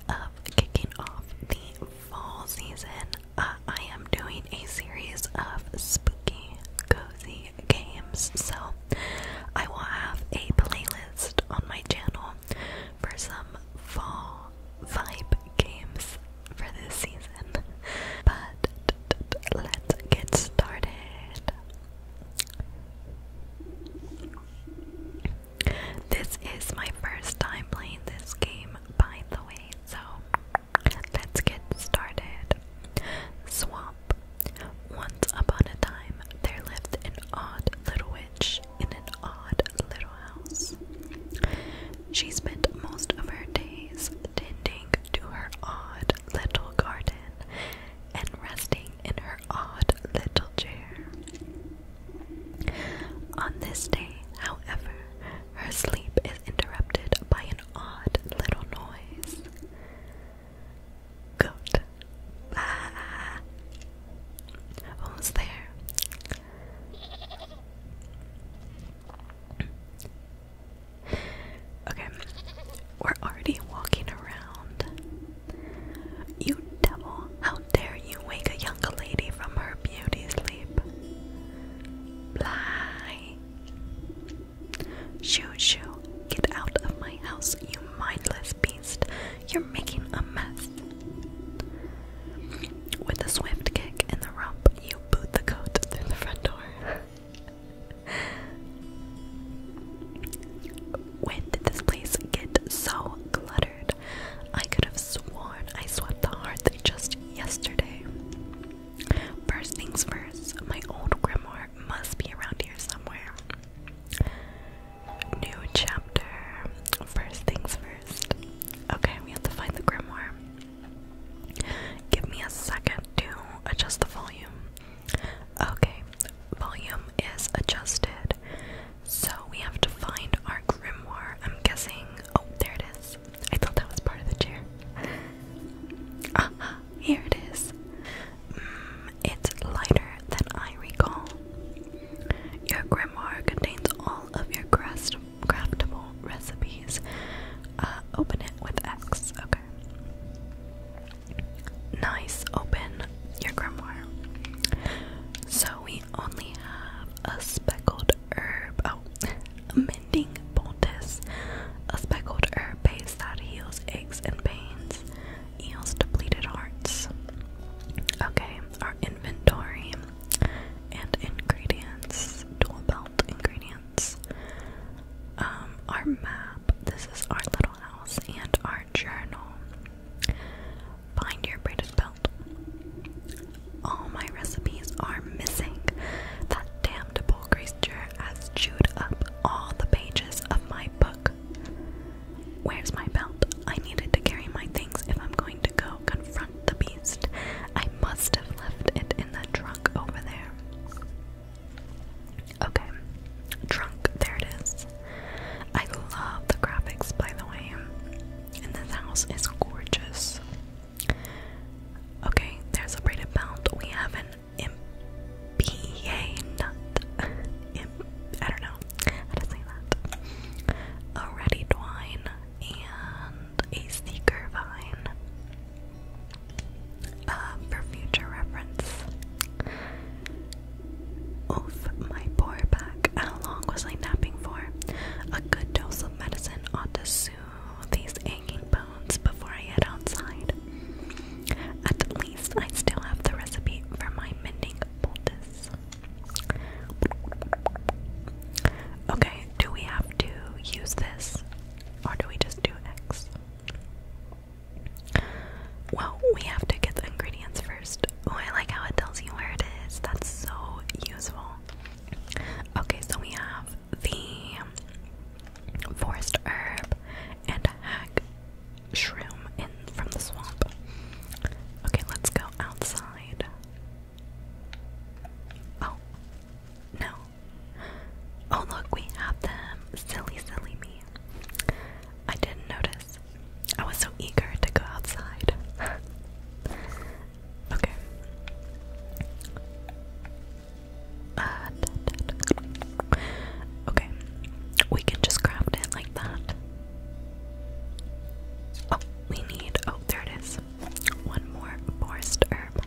aware of kicking off the fall season, uh, I am doing a series of spooky, cozy games. So I will have a playlist on my channel for some fall vibe games for this season. But let's get started. This is my first time playing this game, by the way, so let's get started. Swamp. Once upon a time, there lived an odd little witch in an odd little house. She spent most of her days tending to her odd little garden and resting in her odd little chair. On this day, however, her sleep is interrupted by an odd little noise. Goat. Ah. Who's there? Okay, we're already walking around you devil, how dare you wake a young lady from her beauty sleep? Fly! Shoo shoo, get out of my house, you mindless beast. You're making a mess. With a swift kick in the rump, you boot the coat through the front door. when did this place get so cluttered? I could have sworn I swept the heart just yesterday. First things first, my old grimoire must be around here somewhere. New chapter. First things first. Okay, we have to find the grimoire. Give me a second to adjust the volume. Okay, volume is adjusted. So we have to find our grimoire. I'm guessing. Oh, there it is. I thought that was part of the chair. Ah, here it is. Mm, it's lighter than I recall. Your grimoire contains all of your craft craftable recipes. Uh, open it with X. Okay. Nice. Open your grimoire. So we only have a speckled herb. Oh, mending poultice, a speckled herb base that heals aches and pains, heals depleted hearts. Okay, our inventory and ingredients, dual belt ingredients. Um, our map. This is our little house and our journal. Find your braided belt. All my recipes are missing. That damned bull creature has chewed up all the pages of my book. Where's my belt? I needed to carry my things if I'm going to go confront the beast. I must have left it in the trunk over there. Okay, trunk, there it is. I love the graphics, by the way, and this house is gorgeous. Okay, there's a braided belt. We have an MPA nut. Imp I don't know how to say that. A ready twine and a seeker vine. Uh, for future reference. Oof, my poor back. How long was I napping for? A good dose of medicine ought to soothe these aching bones before I head outside. At least I still have the recipe for my mending poultice. Okay, do we have to use this? Or do we just do X? Well, we have to get the ingredients first. Oh, I like how it tells you where it is. That's so useful. Okay, so we have the forest herb and hack shroom in from the swamp. Okay, let's go outside. Oh, no. Oh, look, we have them. Silly, silly me. I didn't notice. I was so eager to go outside. okay. Uh, okay. We can just craft it like that. Oh, we need. Oh, there it is. One more forest herb.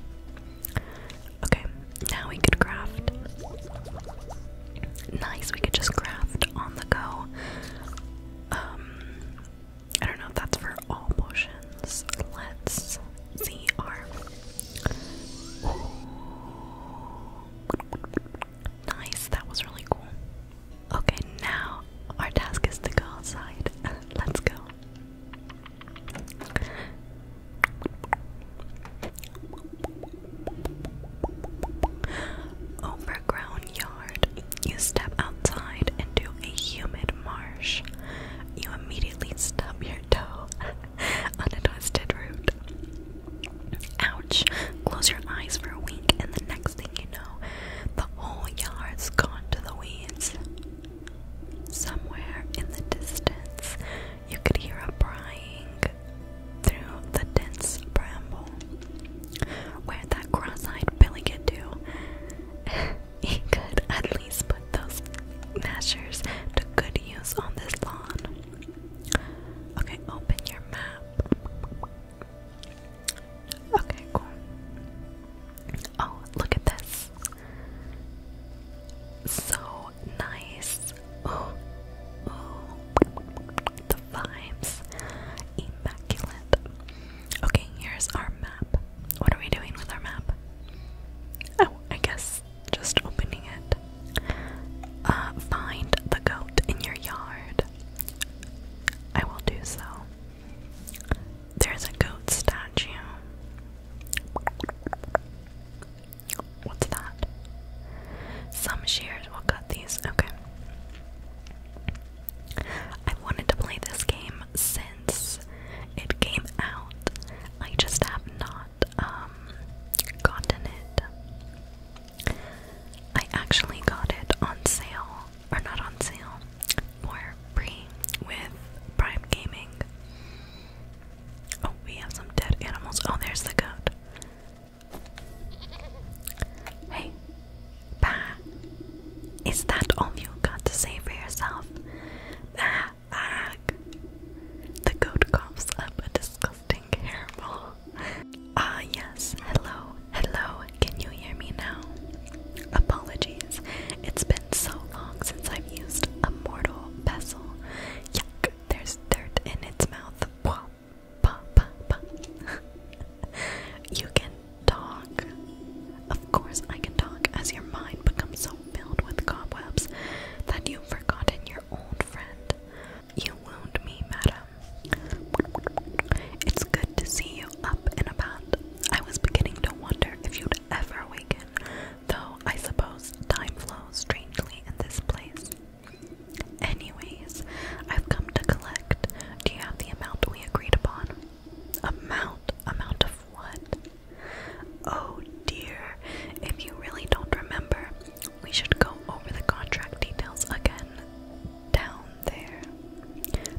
Okay, now we could craft. Nice, we could just craft on the go. Um, I don't know if that's for all potions. Let's see our nice. That was really cool. Okay, now our task is to go outside. Let's go. Overgrown you step outside into a humid marsh. You immediately stub your toe on a twisted root. Ouch! Close your eyes for a week, and the next thing you know, the whole yard's gone to the weeds. Somewhere in the distance, you could hear a prying through the dense bramble where that cross-eyed Billy can do, he could at least put those measures to good use on this lawn. Okay, open your map. Okay, cool. Oh, look at this. So nice vibes. Immaculate. Okay, here's our map. What are we doing with our map? Oh, I guess just opening it. Uh, find the goat in your yard. I will do so. There's a goat statue. What's that? Some shears will cut these. Okay. I wanted to play this game since it came out. I just have not um gotten it. I actually got it on sale, or not on sale, for free with Prime Gaming. Oh, we have some dead animals. Oh, there's the goat. Hey, Bah. Is that all you got to say for yourself? Bah, ag. The goat coughs up a disgusting hairball. Ah, yes. Hello, hello. Can you hear me now? Apologies. It's been so long since I've used a mortal vessel. Yuck, there's dirt in its mouth. Pwah pa, you can talk. Of course, I can talk as your mind becomes so filled with cobwebs that you've forgotten your old friend. You wound me, madam. It's good to see you up and about. I was beginning to wonder if you'd ever awaken, though I suppose time flows strangely in this place. Anyways, I've come to collect. Do you have the amount we agreed upon? Amount? Amount of what? Oh dear, if you really don't remember, we should go over the contract details again. Down there.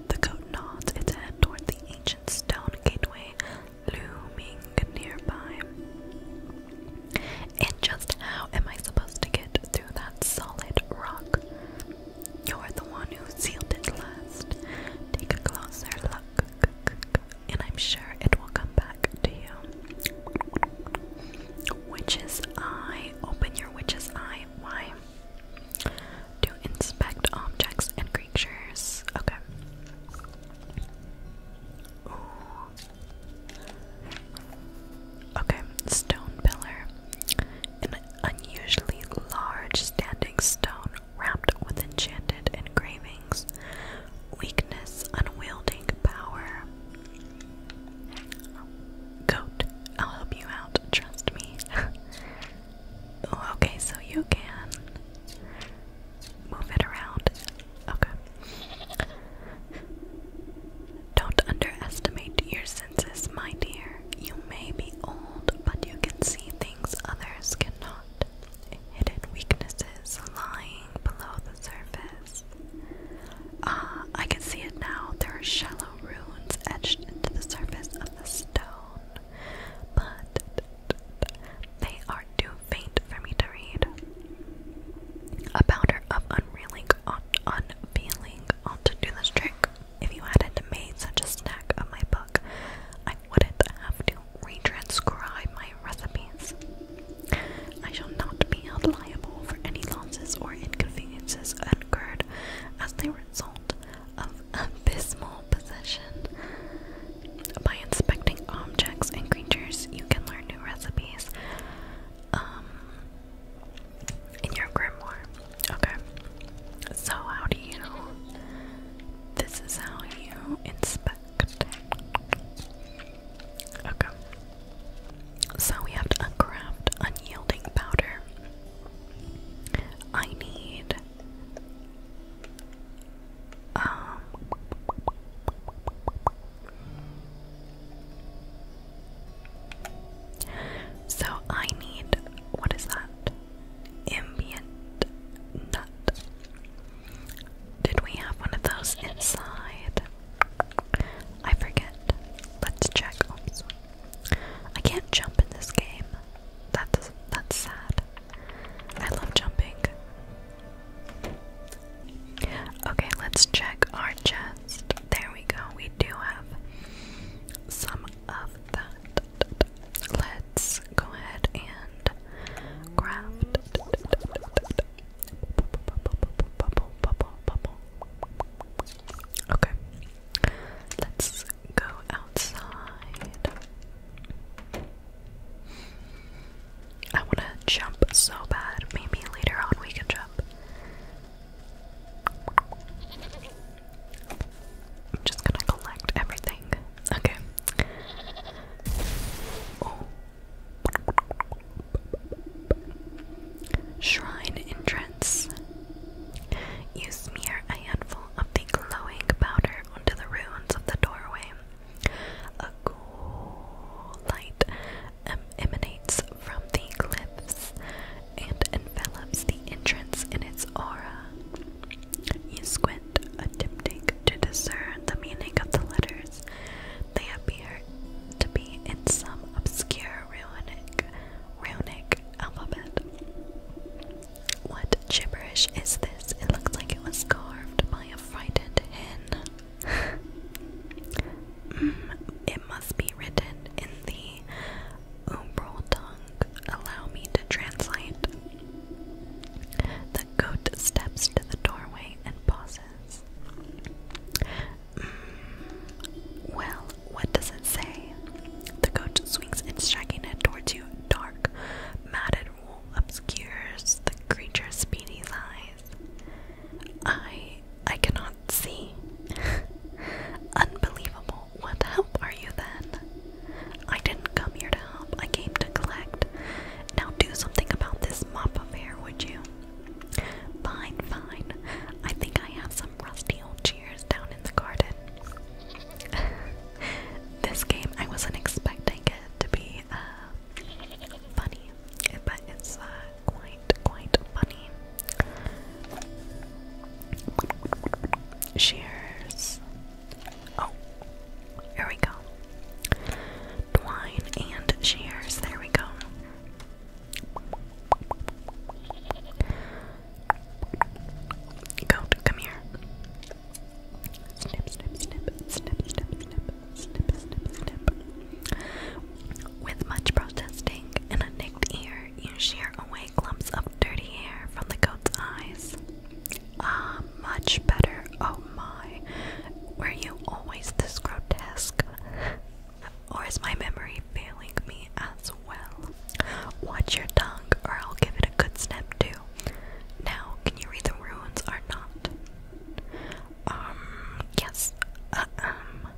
The goat nods its head toward the ancient stone gateway looming nearby. And just how am I supposed to get through that solid rock? You're the one who sealed it last. Take a closer look, and I'm sure it will come back to you. Witch's eye. Open your witch's eye. Why? To inspect objects and creatures. Okay. Okay, stone pillar. An unusually large standing stone wrapped with enchanted engravings. Weakness, unwielding power. Goat, I'll help you out, trust me. Oh, okay, so you can move it around. Okay. Don't underestimate your senses, my dear. You may be old, but you can see things others cannot. Hidden weaknesses lying below the surface. Ah, I can see it now. There are shallow runes etched into the surface of the stone, but they are too faint for me to read. A powder of unreeling, unfeeling ought to do this trick. If you hadn't made such a snack of my book, I wouldn't have to retranscribe my recipes. I shall not be held liable for any losses or inconveniences incurred as the result of abysmal possession. By inspecting objects and creatures, you can learn new recipes. Um, in your grimoire. Okay. So how do you this is how you inspect. Okay. So we have to uncraft unyielding powder. I need um, so I need what is that? Ambient nut. Did we have one of those inside? I forget. Let's check. Oops. Oh, I can't jump in this game. That's that's sad. I love jumping. Okay, let's check our chest. There we go. We do have some of Let's go ahead and craft Okay. Let's go outside. I want to jump so bad. Maybe later on we can jump. I'm just gonna collect everything. Okay. Oh. Shrine entrance. You smear a handful of the glowing powder onto the ruins of the doorway. A cool light emanates from the cliffs, and envelops the entrance in its aura. You squint attempting to discern the meaning of the letters. They appear to be in some obscure runic, runic alphabet. What gibberish is this? It looks like it was carved by a frightened hen. mm, it must be written in the umbral tongue, allow me to translate. The goat steps to the doorway and pauses. Mm, well, what does it say? The goat swings its shaggy head towards you. Dark, matted wool obscures the creature's speedy eyes. I I cannot see. Unbelievable what help are you then? I didn't come here to help, I came to collect. Now do something about this mop of would you? Fine, fine. I think I have some rusty old chairs down in the garden. this game, I wasn't expecting it to be uh, funny, but it's uh, quite, quite funny shears. Oh, here we go. Twine and shears. There we go. Goat, come here. Snip, snip, snip, snip, snip, snip, snip, snip, snip. With much protesting and a perfect you shear away clumps of dirty hair from the goat's eyes. Ah, much better. Oh my. Were you always this grotesque? Or is my memory failing me as well? Watch your tongue, or I'll give it a good snap too. Now, can you read the runes or not? Um, yes. Uh, um.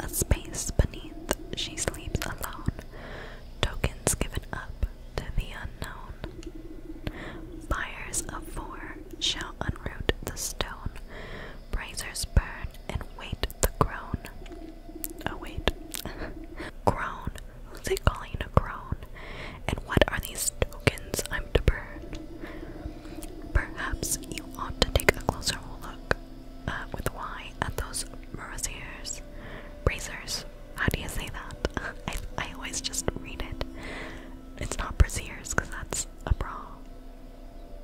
A space beneath, she sleeps alone. Tokens given up to the unknown. Fires of four shall unroot the stone. Brazers burn and wait the groan. Oh, wait. groan. Who's it calling a groan? And what are these tokens I'm to burn? Perhaps you ought to take a closer look look uh, with Y at those braziers. Braziers. How do you say that? I, I always just read it. It's not braziers because that's a bra.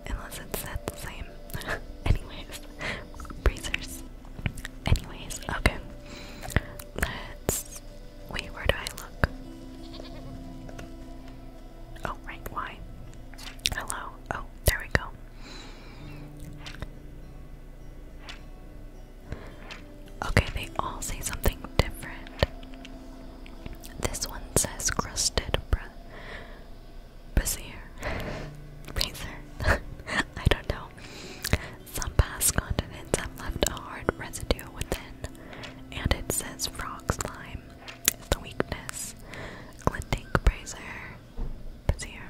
Unless it's said the same. Anyways, braziers. Anyways, okay. Let's. Wait, where do I look? Oh, right, why? Hello. Oh, there we go. Okay, they all say something different. This one says crusted br brazier. Brazier. I don't know. Some past continents have left a hard residue within, and it says frog slime is the weakness. Glinting brazier. Brazier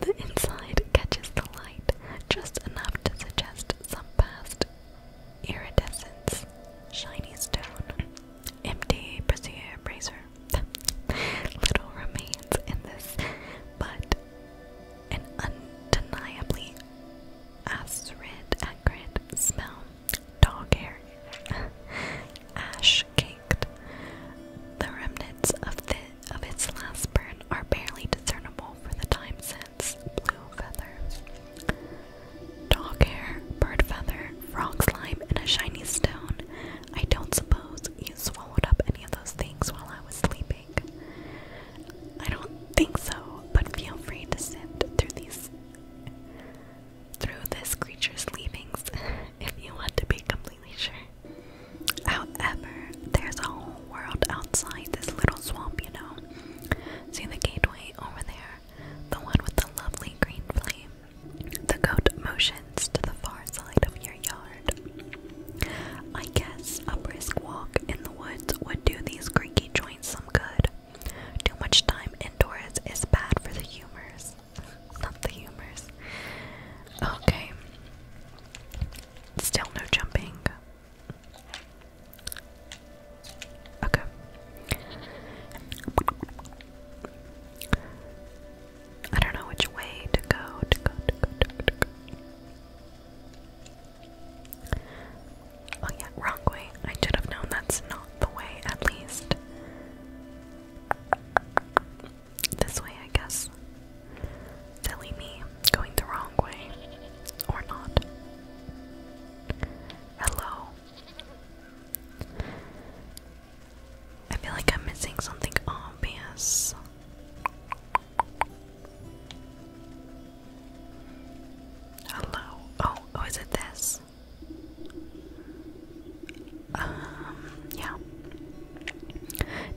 the inside catches the light just enough to suggest some past iridescence. Shiny stone. Empty brazier bracer. Little remains in this, but an undeniably acrid, acrid smell. Dog hair ash caked. The remnants of its last burn are barely discernible for the time since. Blue feathers, Dog hair, bird feather, frog slime, and a shiny stone. I don't suppose you swallowed up any of those things while I was sleeping. I don't think so, but feel free to sift through these through this creature's leavings if you want to be completely completely However, there's a whole world outside this little swamp, you know. See the gateway over there? The one with the lovely green flame. The goat motions to the far side of your yard. I guess a brisk walk in the woods would do these creaky joints some good. Too much time indoors is bad for the humors. Not the humors. Okay. Still no jumping. Okay. I don't know which way to go, Oh yeah, wrong way. I should have known that's not the way, at least this way, I guess. Silly me, going the wrong way. Or not. Hello. I feel like I'm missing something obvious. Hello. Oh, oh, is it this? Um, yeah.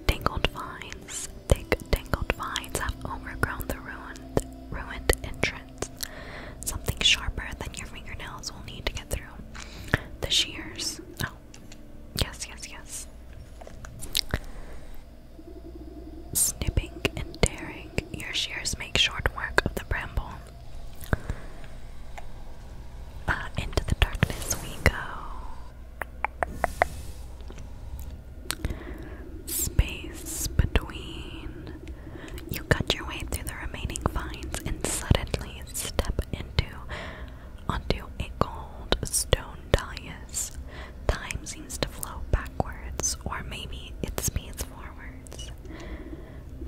Tangled vines. Thick tangled vines have overgrown the ruined, ruined entrance. Something sharper than your fingernails will need to get through. The shears. Oh, yes, yes, yes. Snipping and tearing. Your shears make short work of the bramble. Uh, into the darkness we go. Space between. You cut your way through the remaining vines and suddenly step into onto a gold stone dais. Time seems to flow backwards, or maybe it speeds forwards.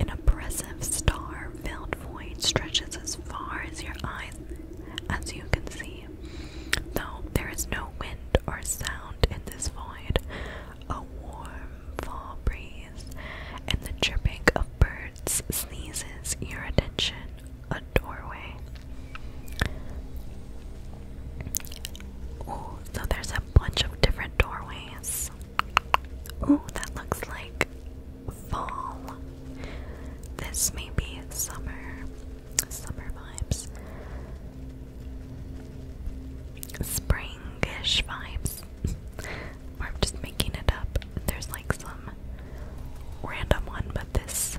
An oppressive star-filled void stretches as far as your eyes as you can see. Though there is no wind or sound in this void, a warm fall breeze and the chirping of birds sneezes your attention a doorway. Oh, so there's a bunch of different doorways. Oh, that looks like fall. This may be summer, summer vibes, springish vibes. or I'm just making it up. There's like some random one, but this.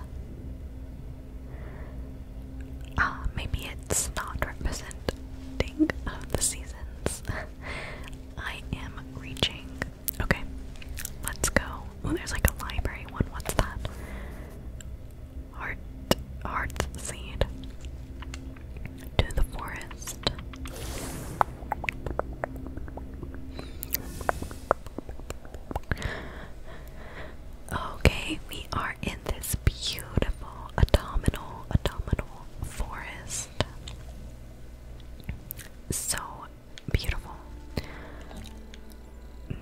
Ah, maybe it's not representing of the seasons. I am reaching Okay, let's go. Oh, there's like a library one. What's that? Heart, heart seed. To the forest. Okay, we are in this beautiful autumnal, autumnal forest. So Beautiful.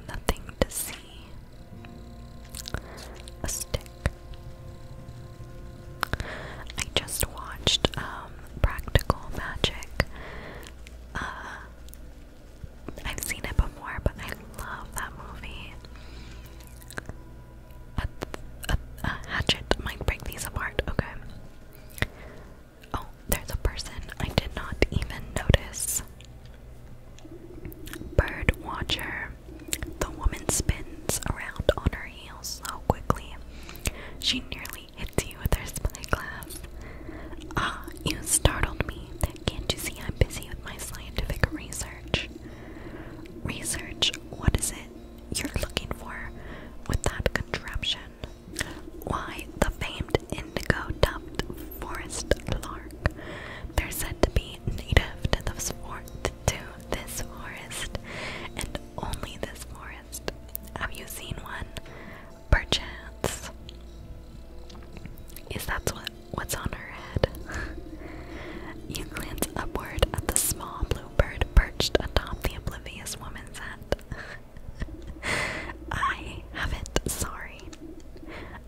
Nothing to see. A stick. I just watched um, Practical Magic. Uh, I've seen it before, but I love that movie. a, a hatchet might break these apart. Okay. Oh, there's a person I did not even notice. Bird watcher. The woman spins around on her heels so quickly. She nearly hits you with her spyglass. Ah, you startled me. Can't you see I'm busy with my scientific research? Research, what is it you're looking for with that contraption? Why the famed indigo-topped forest lark? They're said to be native to this, for to this forest and only this forest. Have you seen one? Perchance. Is that what, what's on her head? you glance upward at the small blue bird perched atop the oblivious woman's hat. I haven't, sorry.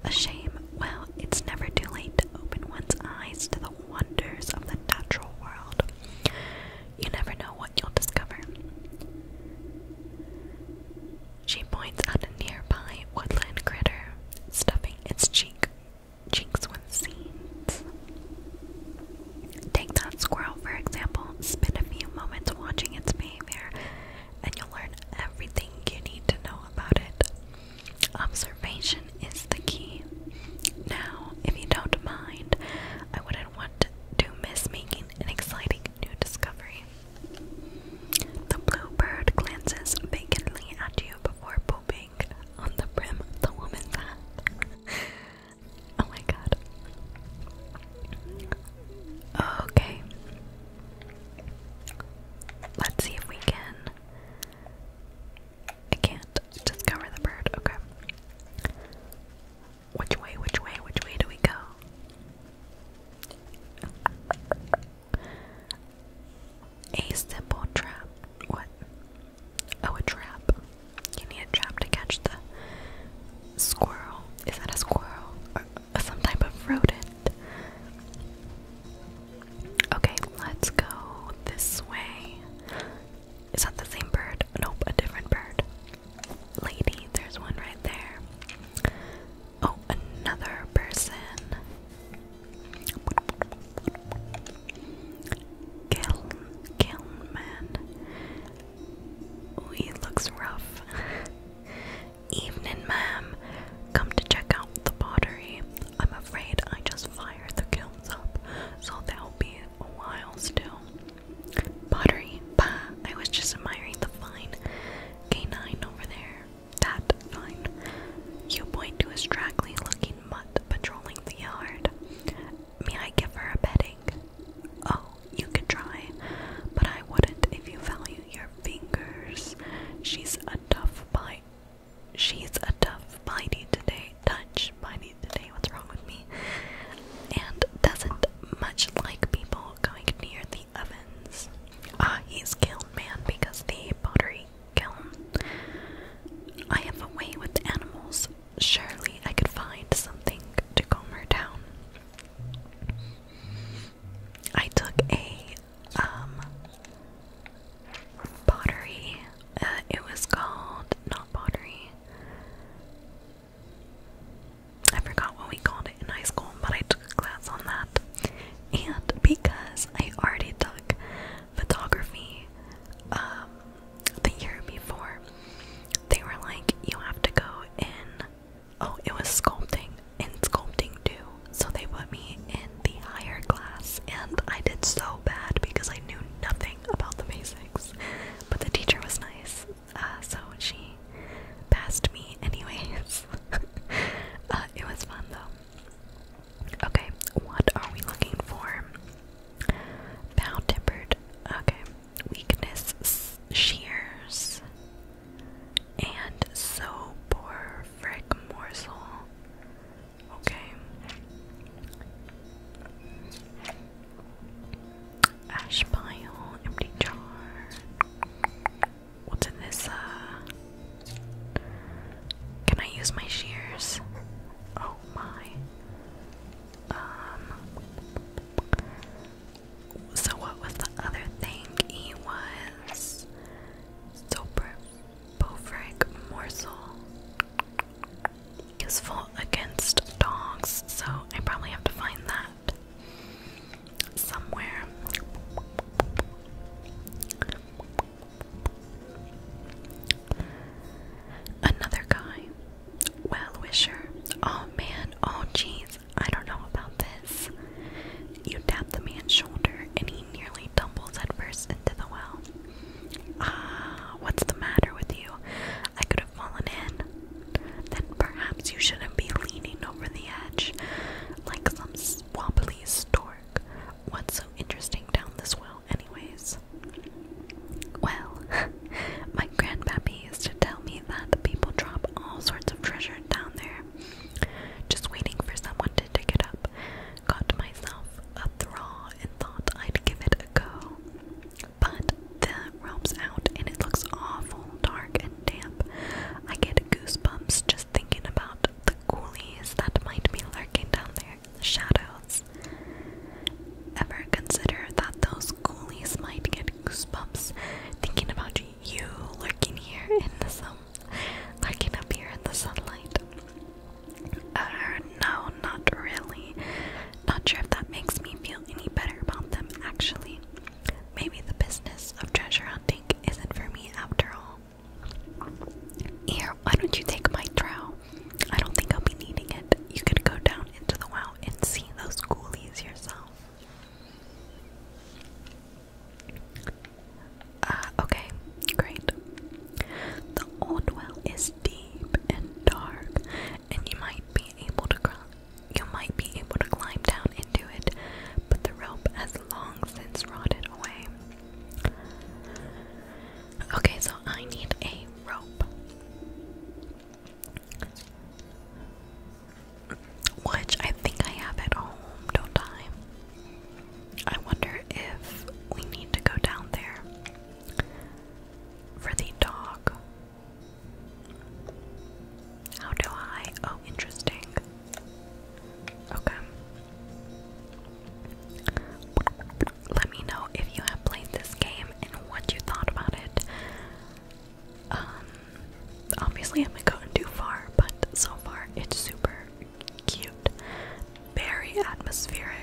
A shame. Well, it's never too late to open one's eyes to the wonders of the natural world. You never know what you'll discover. She points at a nearby woodland critter, stuffing its cheek cheeks with seeds. Take that squirrel, for example. Spend a few moments watching its behavior, and you'll learn everything you need to know about it. Observation is the key. Now, if you don't mind, I wouldn't want to miss making an exciting new discovery. The bluebird glances vacantly at you before pooping on the brim of the woman's hat. Oh my god. Okay. Let's see if we can. I can't discover the bird. Okay. Which way, which way, which way do we go? A simple trap. What? Oh, a trap. You need a trap to catch the squirrel. Is that a squirrel? Or uh, some type of rodent? Okay, let's go this way. Is that the same bird? Nope, a different bird. Lady, there's one right there. Oh, another person. Kill, kill Ooh, he looks rough. Evening, ma'am. Come to check out the pottery. I'm afraid I just fired the kilns up, so they'll be a while still. Pottery? I was just admiring the fine canine over there. That fine. You point to a straggly looking mutt patrolling the yard. May I give her a bedding? Oh, you could try, but I wouldn't if you value your fingers. She's a tough bite. She's a tough bitey today. Touch bitey today. What's wrong with me? And doesn't much like people going near the ovens. Ah, he's killed man because the pottery kiln. I have a way with animals. Surely I could find something to calm her down. I took a um, pottery. Uh, it was called not pottery. I forgot what we called it in high school, but I took a class on that. And because I already took photography um, the year before, they were like, you have to go in Oh, it was sculpting and sculpting too. So they put me in the higher class, and I did so bad because I knew nothing about the basics. But the teacher was nice, uh, so she passed me anyways. Uh, it was fun though. Okay, what are we looking for? Bow tempered. Okay, weakness shears and so poor frick morsel. Okay. Ash pile, empty jar. What's in this? Uh, can I use my shears? Oh my. Um, so what was the other thing? He was Soberbovic morsel. Useful against dogs, so I probably have to find that somewhere. Another guy, well wisher. Oh man, oh jeez, I don't know about this. You tap the man's shoulder and he nearly tumbles headfirst into the well. Ah, what's the matter with you? I could have fallen in. Then perhaps you shouldn't be leaning over the edge like some wobbly stork. What's so interesting down this well, anyways? Well, my grandpappy Japanese to tell me that the people drop all sorts of treasure down there. Just waiting for someone to dig it up. Got myself a thrall and thought I'd give it a go. But the rope's out and it looks awful dark and damp. I get goosebumps just thinking about the ghoulies that might be lurking down there. in the Shadows. Ever consider that those ghoulies might get goosebumps thinking about you you lurking here in the sun, lurking up here in the sunlight. Uh, no, not really. Not sure if that makes me feel any better about them, actually. Maybe the business of treasure hunting isn't for me after all. Here, why don't you take my trowel? I don't think I'll be needing it. You could go down into the wow and see those ghoulies yourself. Uh, okay, great. The old well is deep and dark, and you might be able to you might be able to climb down into it, but the rope has long since rotted away. Okay, so I need a rope which I think I have at home, No time. I? I wonder if we need to go down there for the dog. How do I? Oh, interesting. Okay. Let me know if you have played this game and what you thought about it. Um, obviously I am not gotten too far, but so far it's super cute, very atmospheric.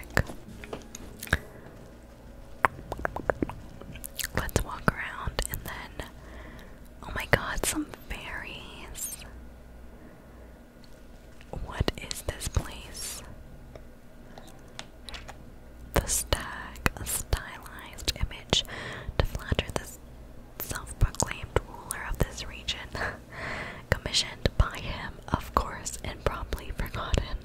Let's walk around and then, oh my god, some fairies. What is this place? The stag, a stylized image to flatter the self proclaimed ruler of this region, commissioned by him, of course, and promptly forgotten.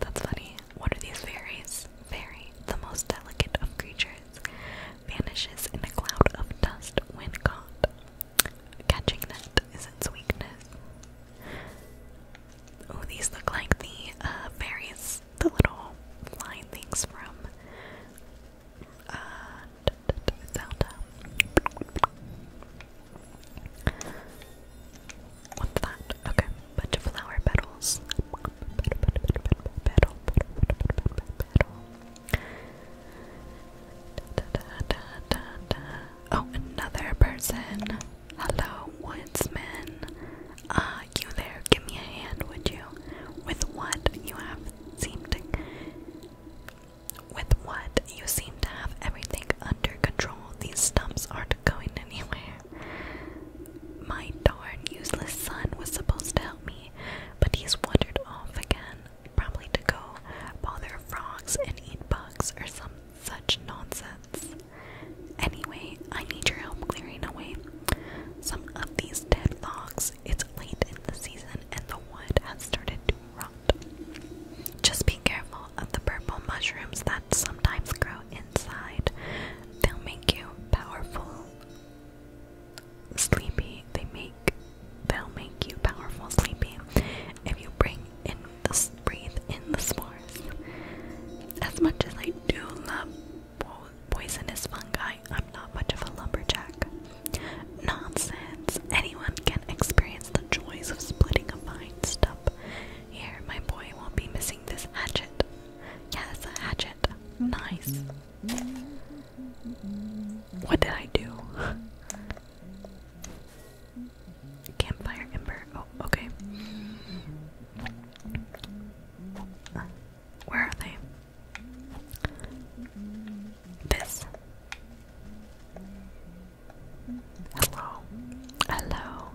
That's funny. What are these fairies? Fairy, the most delicate of creatures, vanishes in a cloud of dust when caught. Catching it is its weakness. Oh, these look like the uh, fairies the little flying things from uh, What's that? Okay, bunch of flower petals. Oh, another person. Hello, woodsman. Ah, you there, give me a hand, would you? With what you have seemed to. With what you seem to have everything under control, these stumps aren't going anywhere. My darn useless son was supposed to help me, but he's wandered off again, probably to go bother frogs and eat bugs or some such nonsense. Anyway, I need your help clearing away some of these dead logs it's late in the season and the wood has started to rot. Just be careful of the purple mushrooms that sometimes grow inside. They'll make you powerful sleepy. They make they'll make you powerful sleepy if you bring in the breathe in the spores. As much as I do love poisonous fungi. I'm not much of a lumberjack. Nonsense. Anyone can experience the joys of splitting a fine stump. Here, my boy won't be missing this hatchet. Yes, a hatchet. Nice. What did I do? Campfire ember. Oh, okay. Where are they? This. Hello. Hello.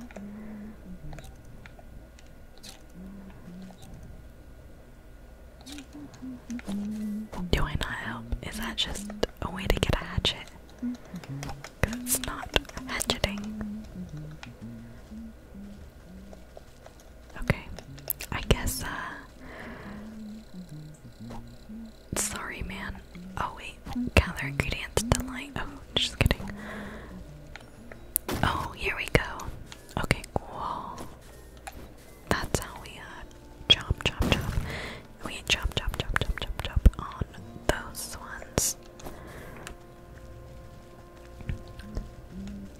Do I not help? Is that just a way to get a hatchet? Because it's not hatcheting. Okay. I guess, uh. Sorry, man. Oh, wait. Gather ingredients to light. Oh, just kidding. Oh, here we go. Okay, cool. That's how we, uh, chop, chop, chop. We chop, chop, chop, chop, chop, chop on those ones.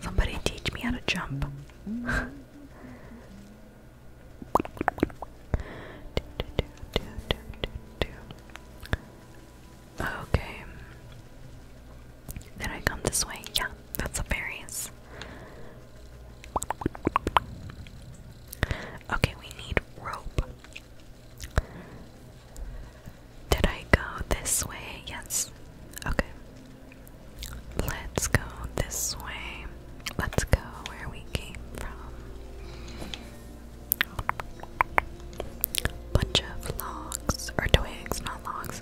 Somebody teach me how to jump. okay. Did I come this way? Yeah, that's the berries. Okay, we need rope. Did I go this way? Yes. Okay. Let's go this way. Let's go where we came from. Bunch of logs or twigs, not logs.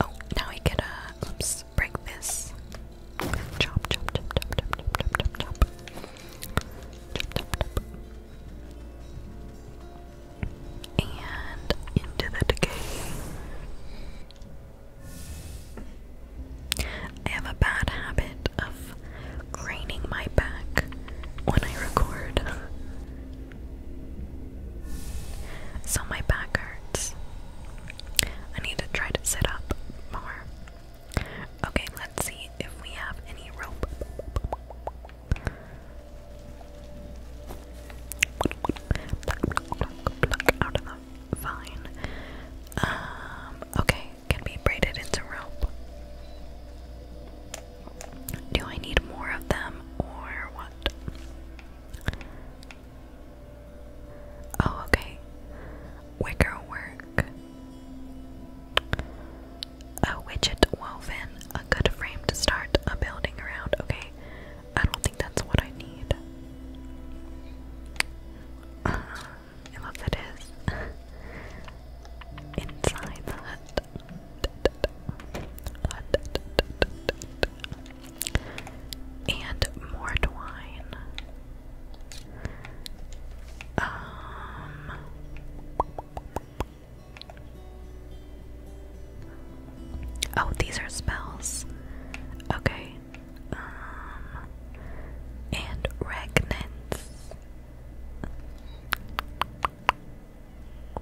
Oh, now we get a. Oops, break this. Chop, chop, chop, chop, chop, chop, chop, chop, chop. Chop, chop, and into the decay. I have a bad habit of craning my back when I record. so my back hurts. I need to try to sit up more. Okay, let's see if we have any rope out of the vine. Um, okay, can be braided into rope. Do I need more of them or what? Oh, okay. Wicker work. A widget woven, a good frame to start a building around. Okay, I don't think that's what I need. unless uh, it is inside the And more twine. Um Oh, these are spells. Okay. Um, and regnants.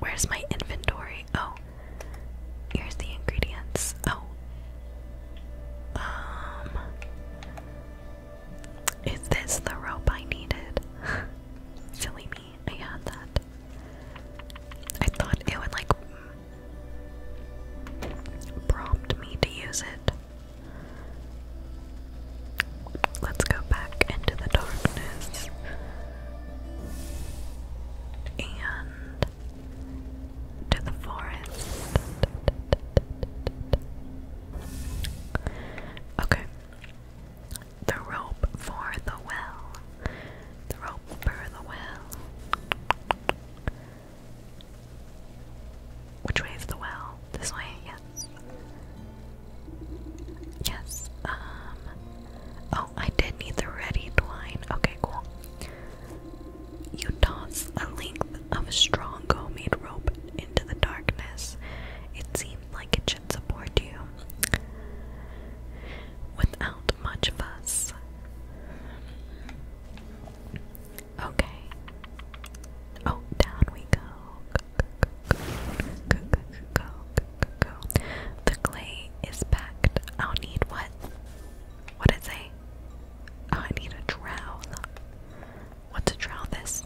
Where's my inventory? Oh, here's the ingredients. Oh, um, is this the rope I needed? Silly me. I had that. I thought it would like prompt me to use it. Let's go back into the darkness. And to the forest. Okay. The rope for the well. The rope for the well. Which way is the well? This way, yes. Yes, um. Oh, I did need the ready twine. Okay, cool. You toss a length of strong homemade rope into the darkness. It seemed like it should support you without much fuss. Okay. Oh, down we go. Go, go, go, go, go, go, go. The clay is packed. I'll need what? What did it say? Oh, I need a trowel. What's a trowel this?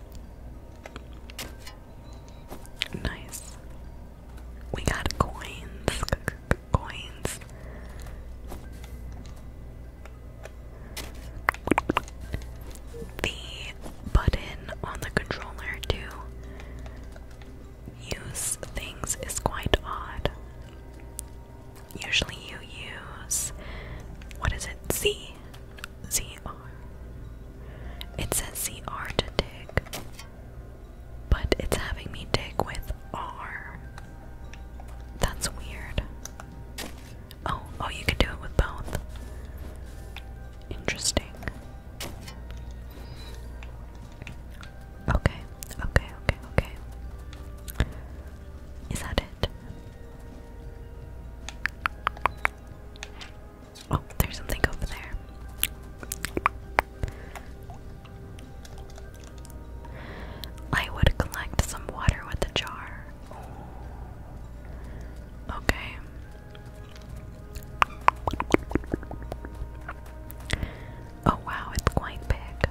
Nice. We got coins. Coins. The button on the controller to use things is quite odd. Usually you use what is it? Z ZR. It says ZR to dig. But it's having me dig with R. That's weird. Oh, oh, you can do it with both. Interesting. Okay, okay, okay, okay. Is that it? Oh, there's something over there. I would collect some water with a jar. Okay. Oh wow, it's quite big.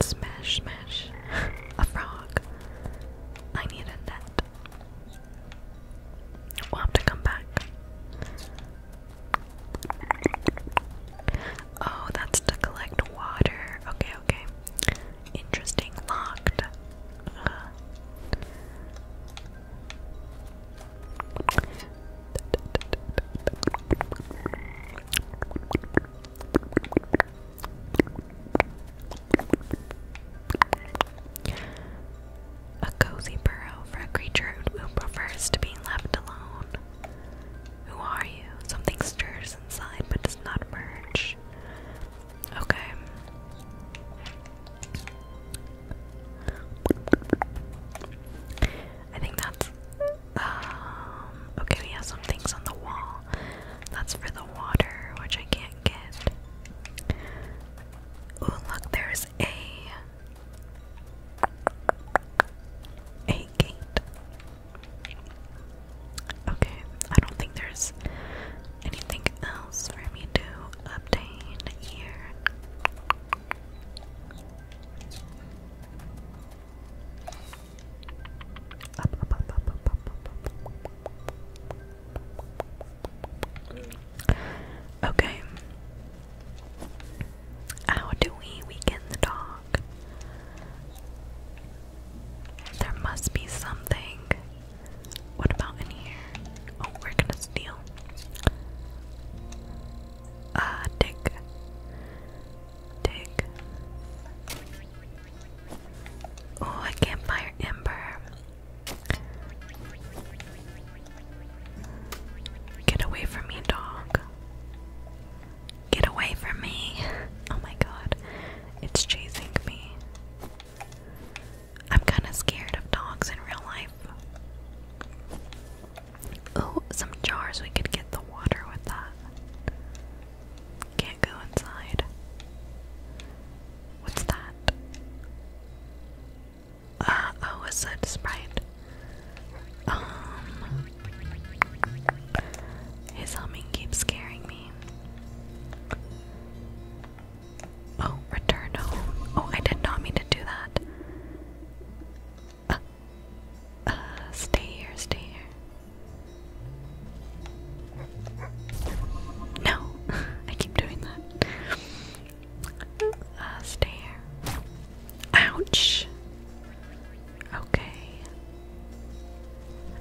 Smash, smash. a frog. I need a We'll have to come back. Oh, that's to collect water. Okay, okay. Interesting. Locked. A cozy burrow for a creature who prefers to be left alone. Who are you? Something stirs inside but does not emerge. Okay. I think that's. Um, okay, we have some things on the wall. That's for the water, which I can't get. Oh, look, there's a a gate. Okay, I don't think there's anything else for me to obtain here. Okay. How do we weaken the dog? There must be something. What about in here? Oh, we're gonna steal. Uh, dig. Dig. Oh, I can't fire Ember. Get away from me, dog. Get away from me. Oh my god. It's chasing me. I'm kind of scared of dogs in real life. Oh, some jars. We could get the water with that. Can't go inside. What's that? Uh, oh, is that Sprite? Um, his humming keeps scaring me. Oh, return Oh, I did not mean to do that. uh, uh stay here, stay here. No, I keep doing that. Uh, stay here. Ouch! Okay.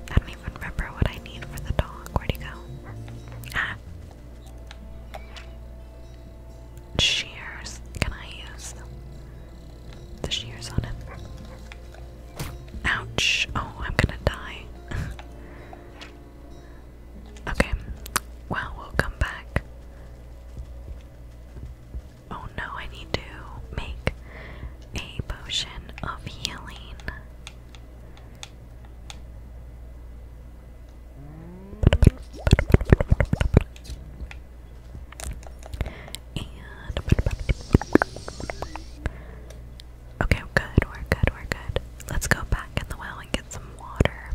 I don't even remember what I need for the dog. Where'd he go? Ah! Shears. Can I use the shears on him? Ouch! Oh, I'm gonna die. Okay. Well, we'll come back. Oh no, I need to make a potion of healing. Okay, good, we're good, we're good. Let's go back in the well and get some water.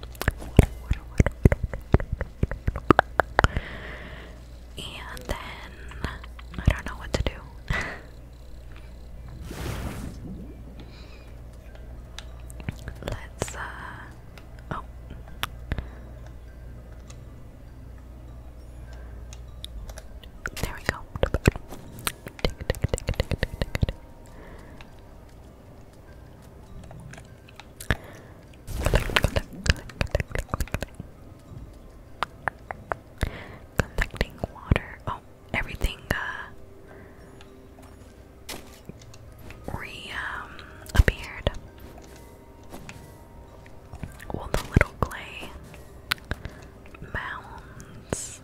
And then I don't know what to do. Let's uh, oh there we go. Collecting water. Oh, everything uh re um, the little clay mounds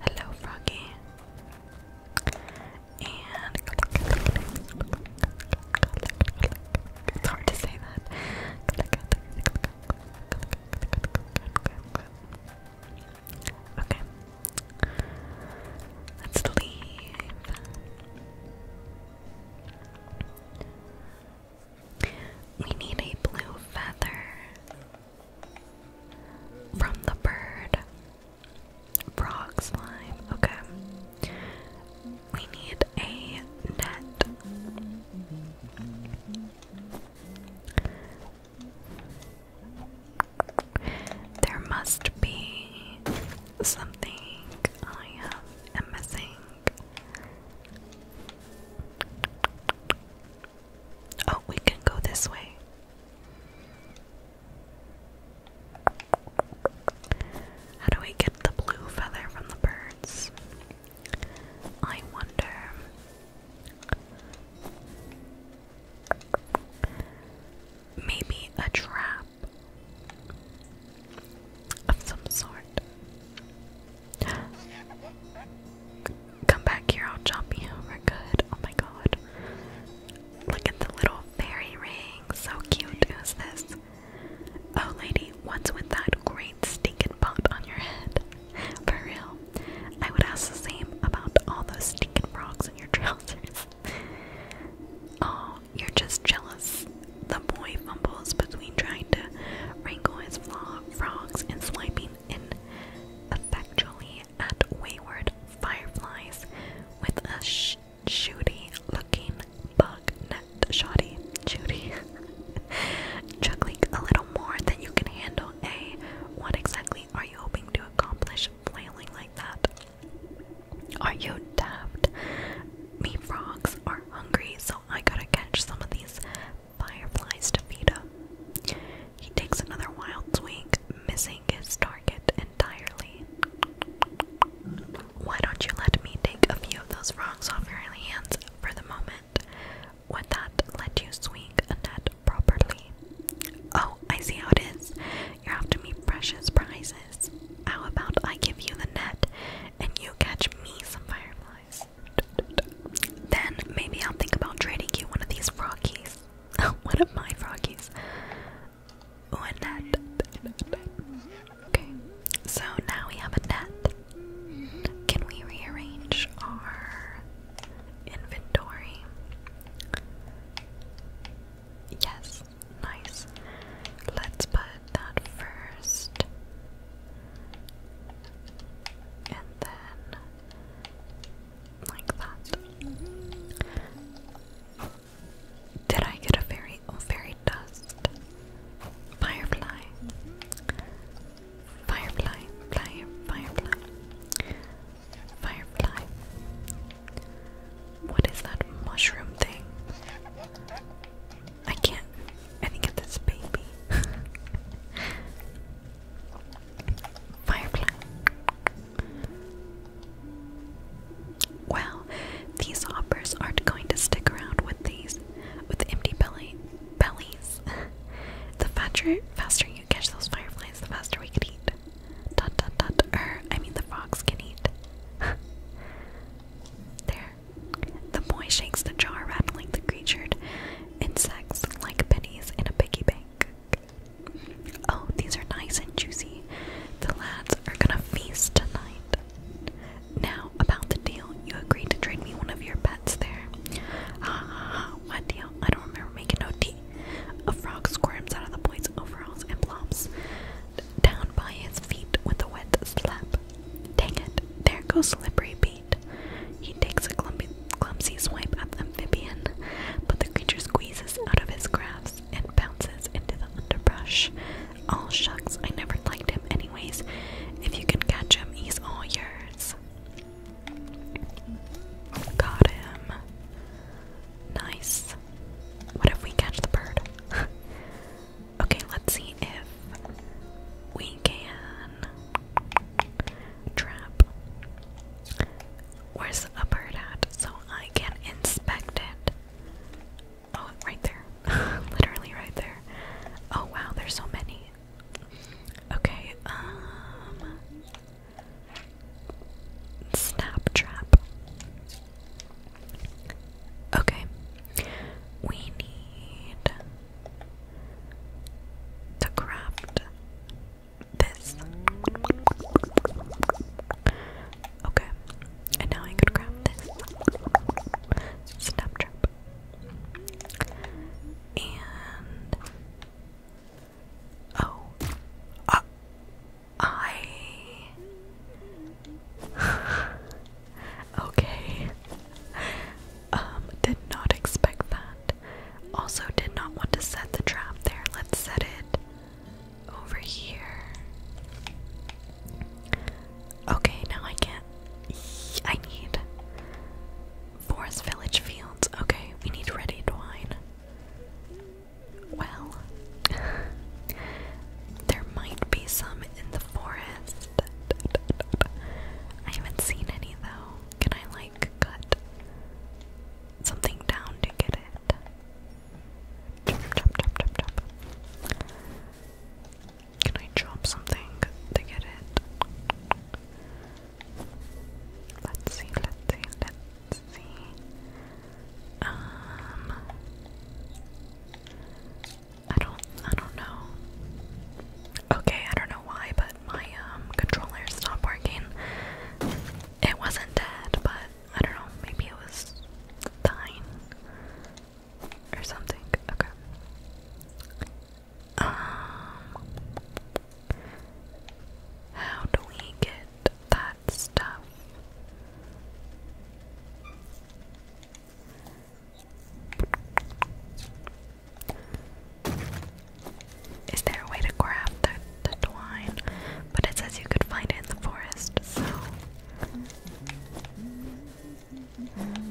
Hello, Froggy. And it's to say that. Okay. Let's leave. We need a blue feather from the bird. Frog slime, okay. We need a net. There must be something I am missing. Oh, we can go this way. How do we get the blue feather from the birds? I wonder. Maybe a trap of some sort. Come back here, I'll jump you. good. Oh my god. Look at the little fairy ring. So cute. Who's this? Oh, lady, what's with that great stinking pot on your head? For real. I would ask the same about all those stinking frogs in your trousers. Oh, you're just jealous. The boy fumbles between trying to wrangle his frogs and swiping ineffectually at wayward fireflies with a sh shooty-looking bug net shoddy. Judy. Juggling a little more than you can handle, A. What exactly are you hoping to accomplish flailing like that? Are you daft? Me frogs are hungry, so I gotta catch some of these fireflies to feed him. He takes another wild swing, missing his target entirely. Why don't you let me take a few of those frogs off your hands for the moment? Would that let you swing a net properly? Oh, I see how it is. You're after me precious prizes. How about I give you the net and you catch me some fireflies? Then maybe I'll think about trading you one of these froggies. one of my froggies. Oh, a net. Okay, so now we have a net. Can we rearrange our inventory? Yes, nice. Let's put that first and then like that. Did I get a fairy? fairy dust. Firefly. Firefly. Fly, firefly. Firefly. What is that mushroom thing? I can't. I think it's this baby. Firefly. Wow, these hoppers aren't going to stick around with these, with empty belly bellies. the faster, faster you catch those fireflies, the faster we can eat. Dot dot dot. Er, I mean the frogs can eat. there, the boy shakes the jar, rattling the creature. insects like pennies in a piggy bank. Oh, these are nice and juicy. The lads are gonna feast tonight. Now, about the deal, you agreed to trade me one of your pets there. Ha ha ha, what deal? I don't remember making no tea. A frog squirms out of the boy's overalls and plops down by his feet with a wet slap. Dang it, there goes Slippery B. He takes a clumpy, clumsy swipe at the amphibian, but the creature squeezes out of his grasp and bounces into the underbrush. All shucks, I never liked him anyways. If you can catch him, he's all yours. Got him. Nice. What if we catch the bird? okay, let's see if we can trap. Where's the bird at so I can inspect it? Oh, right there. Literally right there. Oh wow, there's so many. Okay, um Snap trap. Okay. We need to craft this. Okay, and now I could craft this snaptrap. And oh, uh, I okay. Um, did not expect that. Also, did not want to set the trap there. Let's set it over here. Okay, now I can't. I need forest village fields. Okay, we need ready twine. Well, there might be some in the forest. I haven't seen any though. Can I like cut something down to get it? Can I chop something to get it? Let's see, let's see, let's see. Um I don't I don't know. Okay, I don't know why, but my um controller stopped working. It wasn't dead, but I don't know, maybe it was dying or something. Okay. Um how do we get that stuff? Is there a way to grab the, twine? But it says you could find it in the forest, so.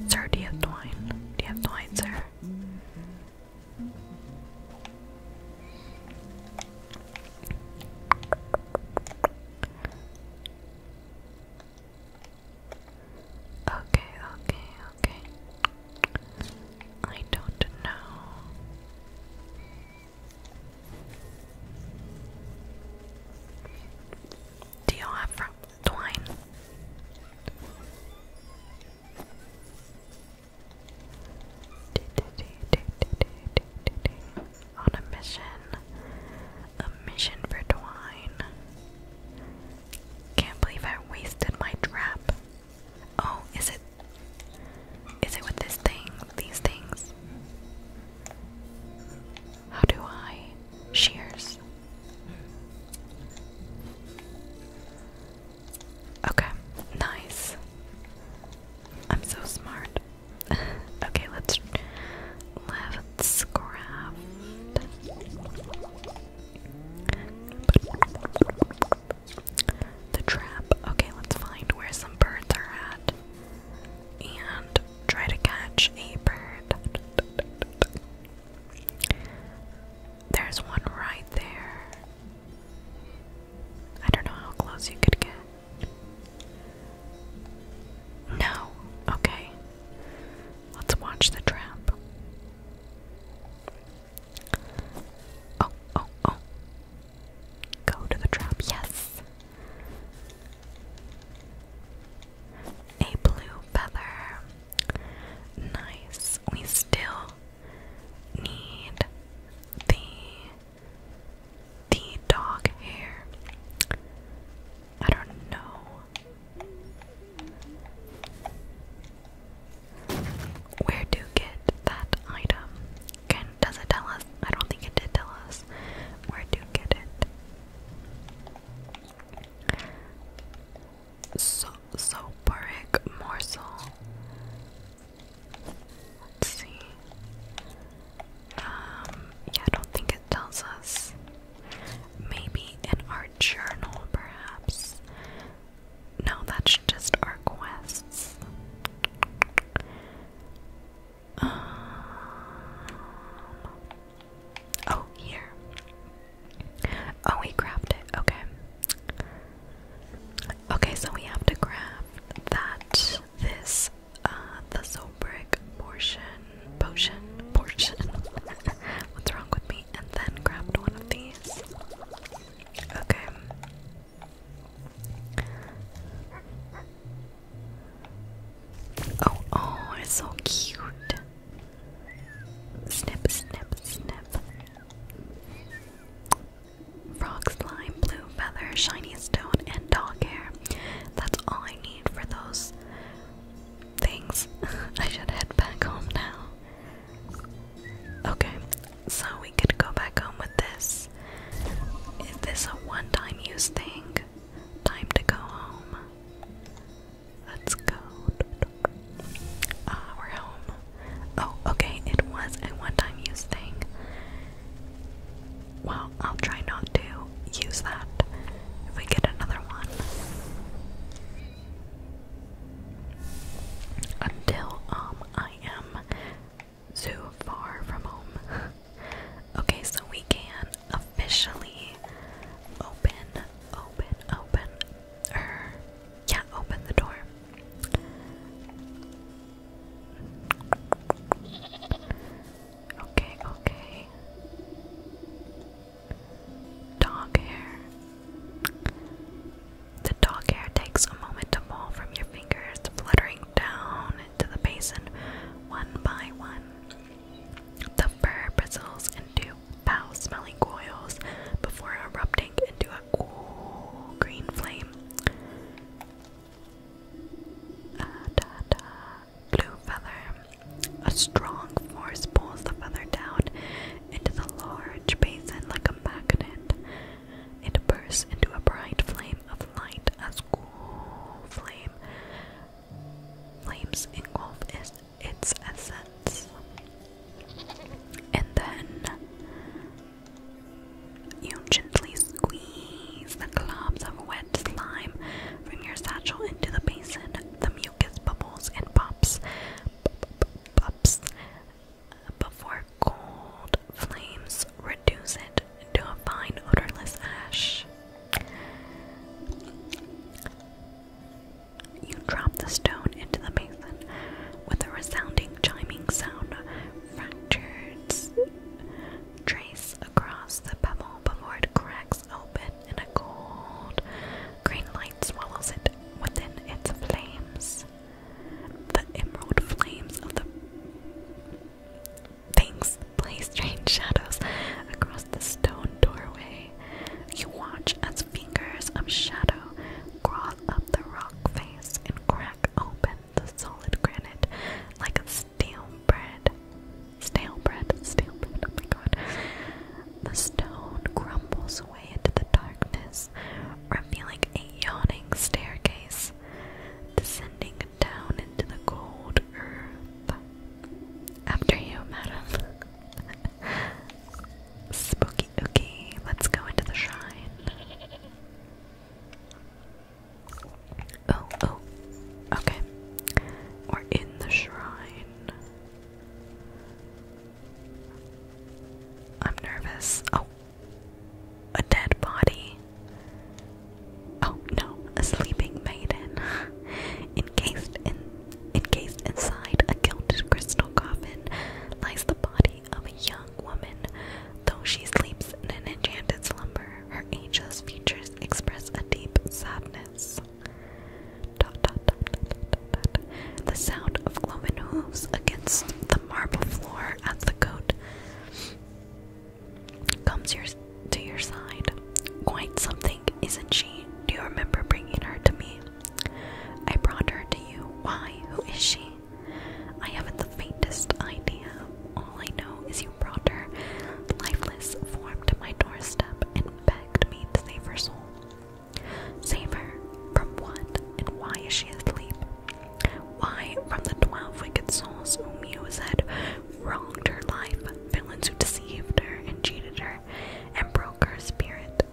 Sir, do you have twine? Do you have twine, sir? Okay, okay, okay. I don't know. Do you have twine? On a mission, a mission for twine. Can't believe I wasted my trap. Oh, is it is it with this thing? These things? How do I shears? Okay, nice. I'm so smart. okay, let's let's craft the trap. Okay, let's find where some birds are at and try to catch a bird. There's one right there. I don't know how close you could get. No. Okay. Let's watch the trap. Oh, oh, oh. Go to the trap, yes. A blue feather. Nice. We still need the the dog hair. I don't know. Where to get that item? Can does it tell us? I don't think it did tell us where to get it. So soporic morsel. see. Um, yeah, I don't think it tells us. Maybe in our journal, perhaps. No, that's just our quests. Um, oh, here. Oh, we grabbed Okay. Okay, so we have to grab that, this, uh, the Zobrick portion, potion, portion. What's wrong with me? And then grabbed one of these. Okay. Oh, oh, it's so cute. Snip, snip, snip. Frog slime, blue feather, shiny stone, and dog hair. That's all I need for those things. I should head back home now. Okay, so we could go back home with this. Is this a one time use thing? Time to go home. Let's go. Ah, we're home. Oh, okay, it was a one time use thing. Well, I'll try not to use that if we get another one. Until um I am too far from home. okay, so we can officially open, open, open er yeah, open the door. Okay, okay. Dog hair. The dog hair takes a moment to fall from your fingers, fluttering down into the basin one by one. The fur bristles into foul smelling coils before erupting into a cool green flame. Ah, Blue feather. A strong force pulls the feather down into the large basin like a magnet. It bursts into a bright flame of light as cool flame flames engulf its, essence. And then you gently squeeze the globs of wet slime from your satchel into the basin. The mucus bubbles and pops, pops, pops before cold flames reduce it to a fine odorless ash. You drop the stone into the basin with a resounding chiming sound, fractured trace across the pebble before it cracks open and a cold green light swallows it within its flames, the emerald flames of the things play strange shadows across the stone doorway. You watch as fingers of shadow crawl up the rock face and crack open the solid granite like a stale bread. Stale bread, stale bread, oh my god. The stone crumbles away into the darkness, revealing a yawning staircase descending down into the cold earth. After you, madam. Spooky ookie, let's go into the shrine. Oh, oh, okay. We're in the shrine. I'm nervous. Oh, a dead body. Oh no, a sleeping maiden, encased in, encased inside a gilded crystal coffin, lies the body of a young woman. Though she sleeps in an enchanted slumber, her angel's features express a deep sadness. Dot, dot, dot, dot, the sound of cloven hooves against the marble floor at the goat comes your, to your side. Quite something, isn't she? Do you remember bringing her to me? I brought her to you. Why? Who is she? I haven't the faintest idea. All I know is you brought her, lifeless, form to my doorstep, and begged me to save her soul. Save her from what and why is she asleep? Why from the twelve wicked souls whom you said wronged her life, villains who deceived her and cheated her and broke her spirit?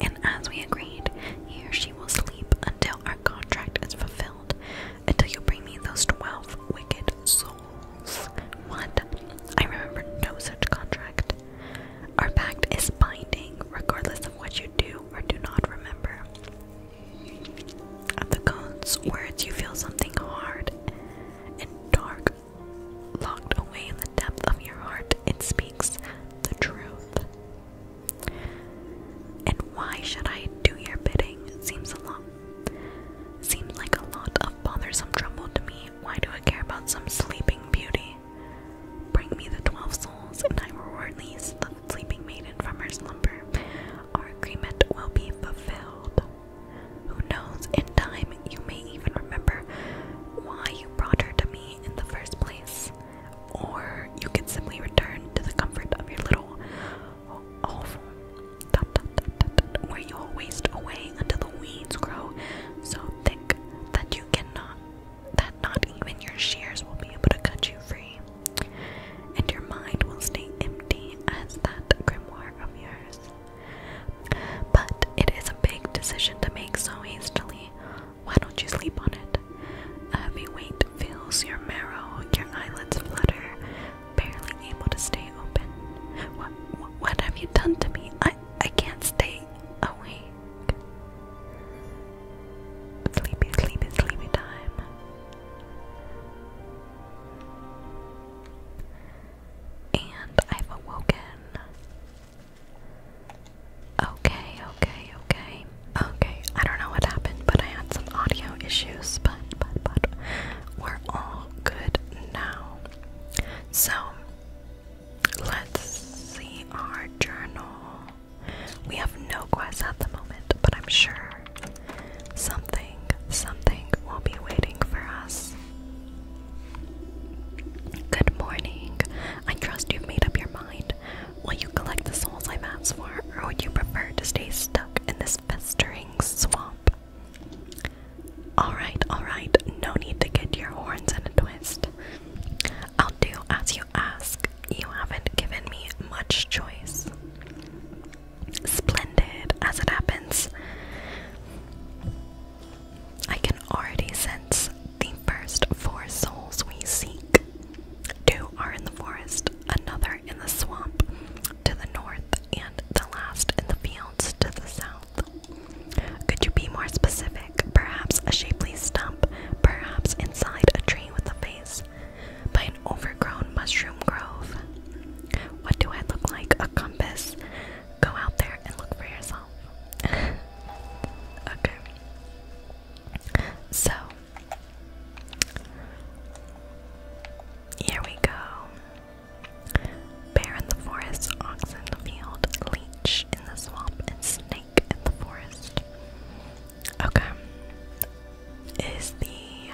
And as we agreed, here she will sleep until our contract is fulfilled, until you bring me those twelve wicked souls. What? I remember no such contract. Our pact is binding, regardless of what you do or do not remember. At the code's words, you feel something hard and dark locked away in the depth of your heart. It speaks the truth. And why should I do your bidding? Seems a lot. Seems like a lot of bothersome trouble to me. Why do I care about some sleeping beauty? Bring me the twelve souls, and I will release the sleeping maiden from her slumber. Our agreement will be fulfilled. Who knows, in time you may even remember why you brought her to me in the first place. Or you can simply return to the comfort of your little oval where you will waste away until the weeds grow so thick that you cannot that not even your shears will be able to cut you free, and your mind will stay empty as that grimoire of yours. But it is a big decision to make so hastily. Why don't you sleep on it? A heavy weight fills your marrow, your eyelids flutter, barely able to stay open. What, what have you done to me? I, I can't stay awake. Sleepy, sleepy, sleepy time. And I've awoken. Okay, okay, okay. Okay, I don't know what happened, but I had some audio issues, but, but, but, we're all good now. So, Let's see our journal. We have no quests at the moment, but I'm sure something, something will be waiting for us. Good morning. I trust you've made up your mind. Will you collect the souls i asked for, or would you prefer to stay stuck in this festering swamp? Alright, alright, no need to get your horns in a twist. I'll do as you ask, you haven't given me much choice. Splendid, as it happens. I can already sense the first four souls we seek. Two are in the forest, another in the swamp to the north, and the last in the fields to the south. Could you be more specific? perhaps a shapely stump, perhaps inside a tree with a face, by an overgrown mushroom grove. What do I look like? A compass. Go out there and look for yourself. okay. So, here we go. Bear in the forest, ox in the field, leech in the swamp, snake in the forest. Okay. Is the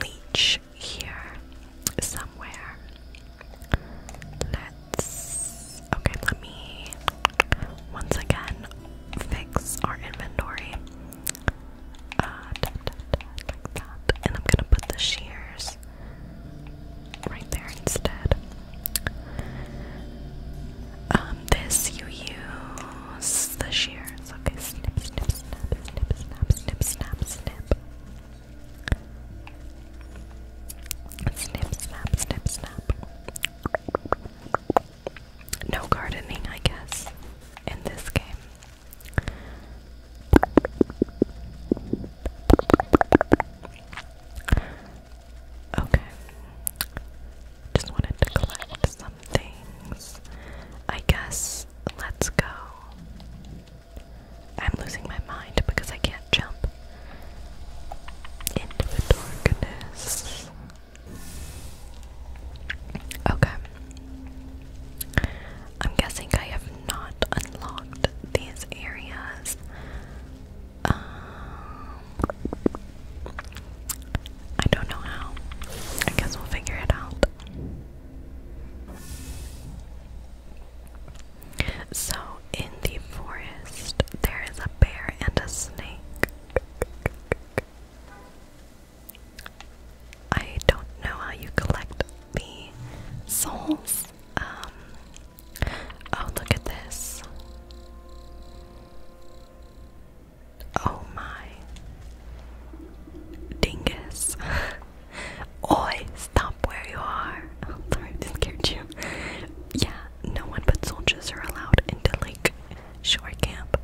leech here somewhere? Let's. Okay, let me once again fix our inventory. Uh, like that. And I'm gonna put the shears right there instead. Um, this you use the shears. Okay, snip, snip, snap, snip, snap, snip, snap, Snip, snap, snip, snap. No gardening, I guess, in this game. Okay. Just wanted to collect some things. I guess let's go. I'm losing my mind because I can't jump into the darkness. Okay. I'm guessing I have not unlocked these areas. Um, I don't know how. I guess we'll figure it out. So, in the forest, there is a bear and a snake. I don't know how you collect the souls. Um, oh, look at this. Oh my dingus. Oi, stop where you are. sorry, I scared you. Yeah, no one but soldiers are allowed into Lake Shore Camp,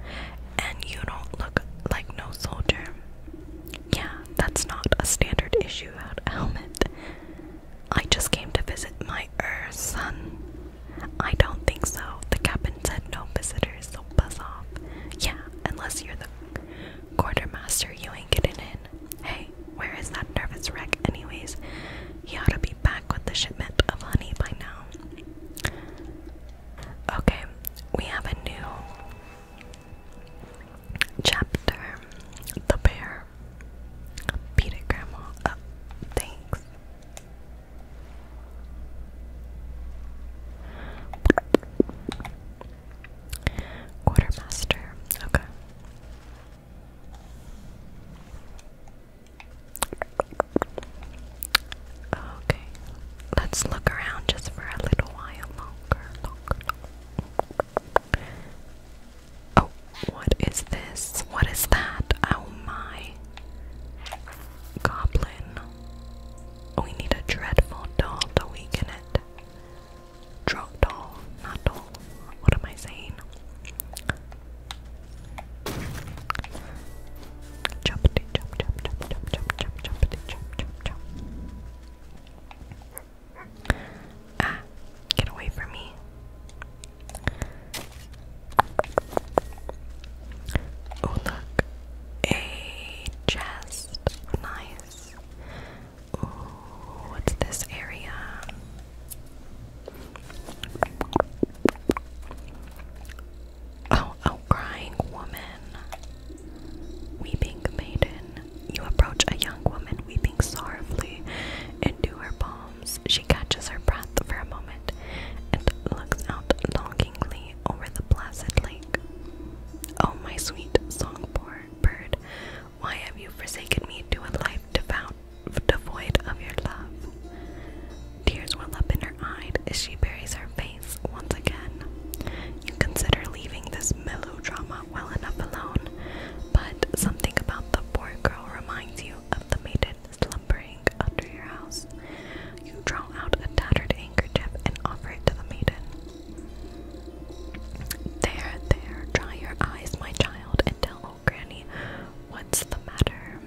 and you don't look like no soldier. Yeah, that's not a standard issue helmet. I just came to visit my by son? I don't think so. The captain said no visitors, so buzz off. Yeah, unless you're the quartermaster, you ain't getting in. Hey, where is that nervous wreck, anyways? He ought to be back with the shipment of honey by now. Okay, we have a new chapter. The bear. Beat it, Grandma. Oh, thanks. Quartermaster, okay. Okay, let's look around just for a little while longer. Oh, what is this? What is that? Oh my. Goblin. We need a dreadful doll to weaken it. Drop doll, not doll. What am I saying? Choppity chop chop chop chop chop chop choppity chop chop chop. Ah, get away from me. Oh look, a chest. Nice. Ooh, what's this area? Oh, oh, crying woman. Weeping maiden. You approach a young woman weeping sorrowfully into her palm she catches her breath for a moment and looks out longingly over the placid lake. Oh, my sweet songbird, why have you forsaken me to a life devoid of your love? Tears well up in her eyes as she buries her face once again. You consider leaving this melodrama well enough alone, but something about the poor girl reminds you of the maiden slumbering under your house. You draw out a tattered handkerchief and offer it to the maiden. There, there, dry your eyes, my child, and tell granny what's the matter.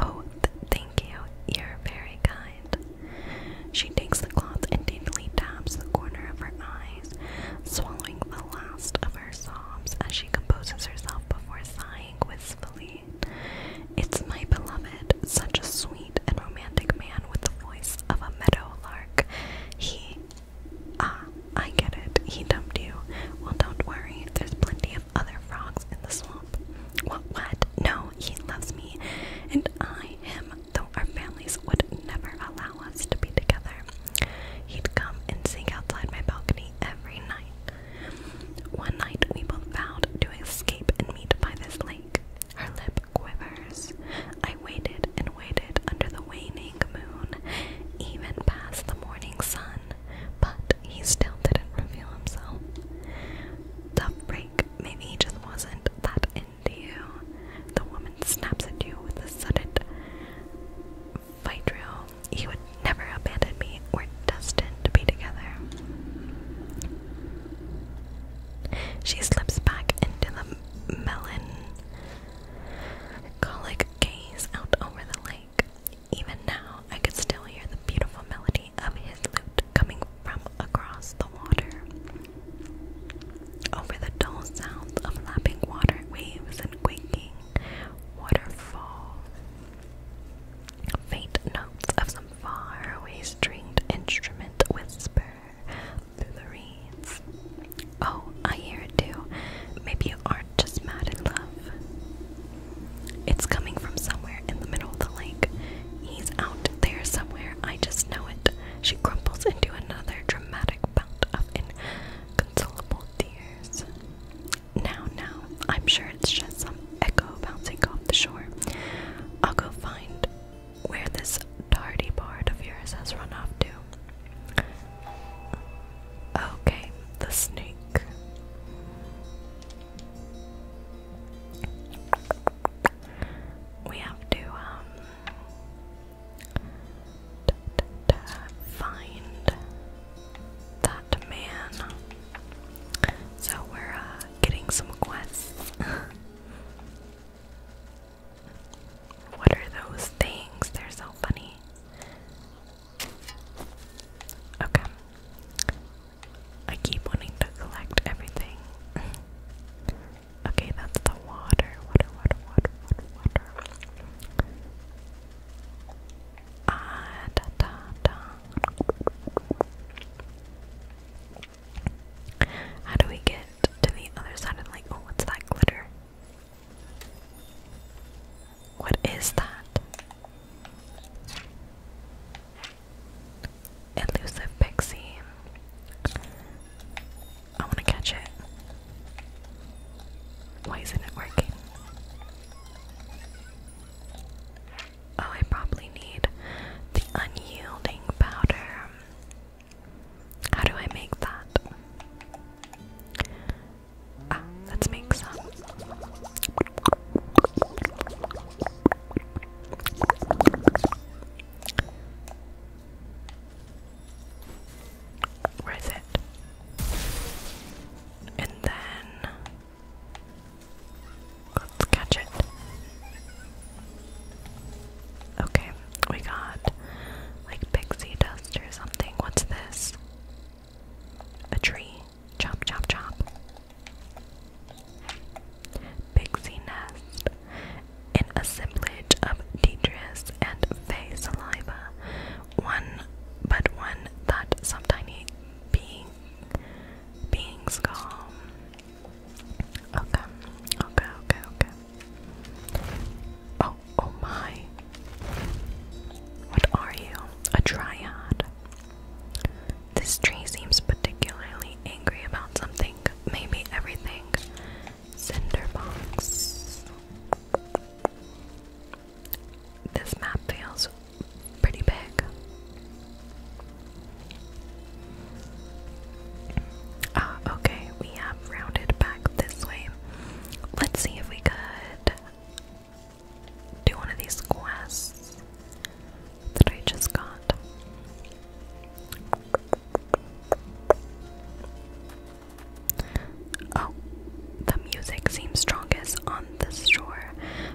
Oh, thank you, you're very kind. She takes the cloth and daintily taps the corner of her eyes, swallowing the last of her sobs as she composes herself before sighing sighing wistfully. It's my beloved, such a sweet and romantic man with the voice of a meadow lark. He. Ah, I get it. He dumped you. Well, don't worry. There's plenty of other frogs in the swamp. What, what? No, he loves me. And I, him, though our families would never allow us to be together. He'd come and sing outside my balcony every night. One night we both vowed to escape and meet by this lake. Her lip quivers. I waited and waited under the waning moon, even past the morning sun, but he still didn't reveal himself. Tough break, maybe he just wasn't that into you. The woman snaps at you with a sudden Phaedril, he would never abandon me. We're destined to be together. She slips back into the melancholic gaze out over the lake. Even now, I could still hear the beautiful melody of his lute coming from across the water. Over the dull sounds of lapping water waves and quaking waterfall Faint notes of some faraway stringed instrument whisper through the reeds. Oh, I hear it too. Maybe you aren't just mad in love. It's coming from somewhere in the middle of the lake. He's out there somewhere, I just know it. She crumples into another dramatic bout of inconsolable tears. Now, now, I'm sure it's just some echo bouncing off the shore. I'll go find where this tardy part of yours has run off to. Okay, the snake. We have to, um, find that man. So we're uh, getting some quests. what are those things? They're so funny. Okay. I keep wanting to collect everything. okay, that's the Water, water, water, water, water. Ah, da, da, da. How do we get to the other side and like, oh, what's that glitter? What is that? Elusive pixie. I want to catch it. Why isn't it working? Oh, I probably need the unyielding powder. How do I make that? Ah, let's make some. Where is it? And then Let's catch it. Okay, we got like pixie dust or something. What's this? A tree. Chop, chop, chop. Pixie nest. An assemblage of detritus and fey saliva. One, but one that some tiny being being calm. Okay, okay, okay, okay. Oh, oh, my. What are you? A triad. This tree seems particularly angry about something. Maybe everything. Cinderbox. This map feels pretty big. Ah, okay, we have rounded back this way. Let's see if we could do one of these quests that I just got. Oh, the music seems strongest on the shore,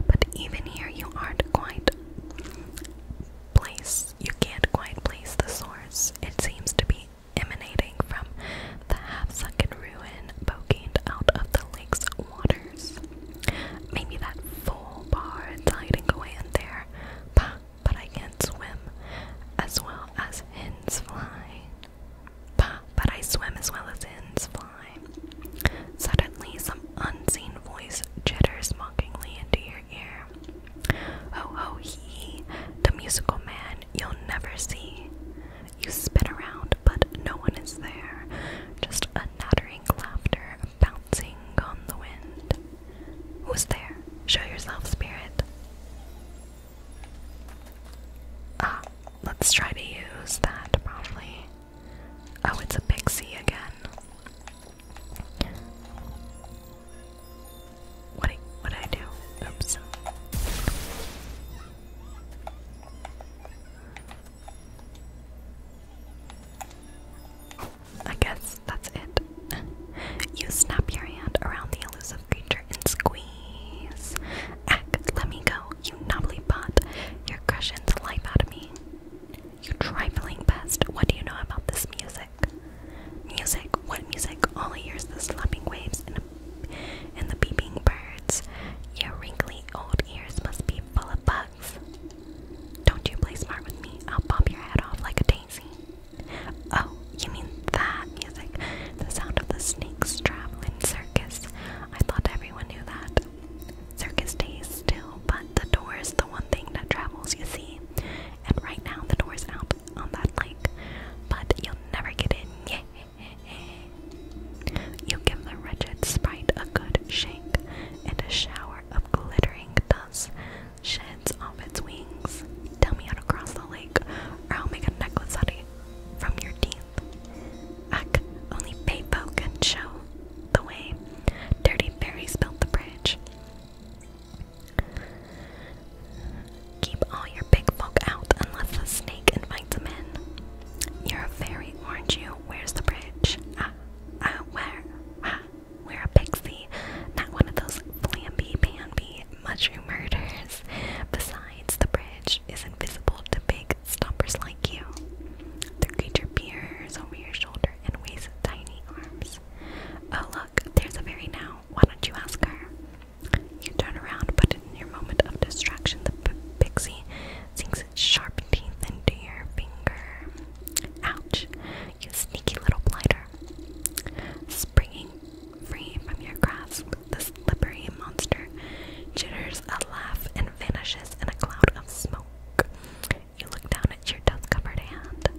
but even here you aren't quite place you can't quite place the source. It seems to be emanating from the half-sunken ruin poking out of the lake's waters. Maybe that full bard's hiding away in there. Bah, but I can't swim as well as hens fly. Bah, but I swim as well as hens fly. Suddenly, some unseen voice jitters mockingly into your ear. "Oh, ho he, the musical man you'll never see. You spin around, but no one is there. Just a nattering laughter bouncing on the wind. Who's there? Show yourself, spirit. Ah, let's try to use that, probably. Oh, it's a pixie again. What what did I do? Oops. I guess that's it. you snap your hand around the elusive creature and squeeze. Ack, let me go you knobbly pot, you're crushing the life out of me. You trifling pest, what do you know about this music? Music, what music? All I hear is the slapping waves and, and the beeping birds. Your wrinkly old ears must be full of bugs. Don't you play smart with me, I'll pop your head off like a daisy. Oh, you mean that music? The sound of the snakes traveling circus. I thought everyone knew that. Circus stays still, but the door is the one thing that travels, you see. And right now the door's out on that lake, but you'll never get in. Yeah. You give the wretched sprite a good shake, and a shower of glittering dust sheds off its wings. Tell me how to cross the lake, or I'll make a necklace out of you from your teeth. I can only pay Paypo can show the way dirty fairies built the bridge. Keep all your big folk out unless the snake invites them in. you fairy, are you? Where's the bridge? Ah, ah, where? Ah, we're a pixie, not one of those flamby-bamby mushroom murders. Besides, the bridge is invisible to big stompers like you. The creature peers over your shoulder and waves tiny arms. Oh, look, there's a fairy now. Why don't you ask her? You turn around, but in your moment of distraction, the pixie sinks its sharp teeth into your finger. Ouch, you sneaky little blighter. Springing free from your grasp, the slippery monster jitters a laugh and vanishes in a cloud of smoke. You look down at your dust covered hand.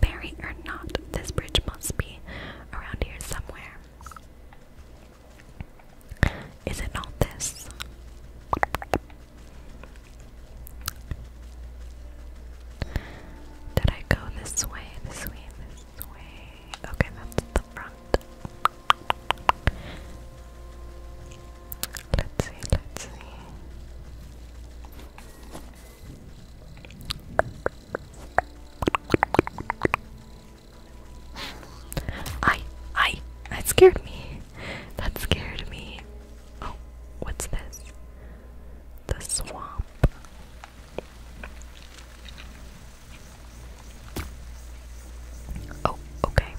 Buried or not, this bridge must be around here somewhere. Is it not this? Did I go this way? This way, this way. Okay, that's the front. Let's see, let's see. I, I, that scared me. That scared me. Oh, what's this? The swamp. Oh, okay.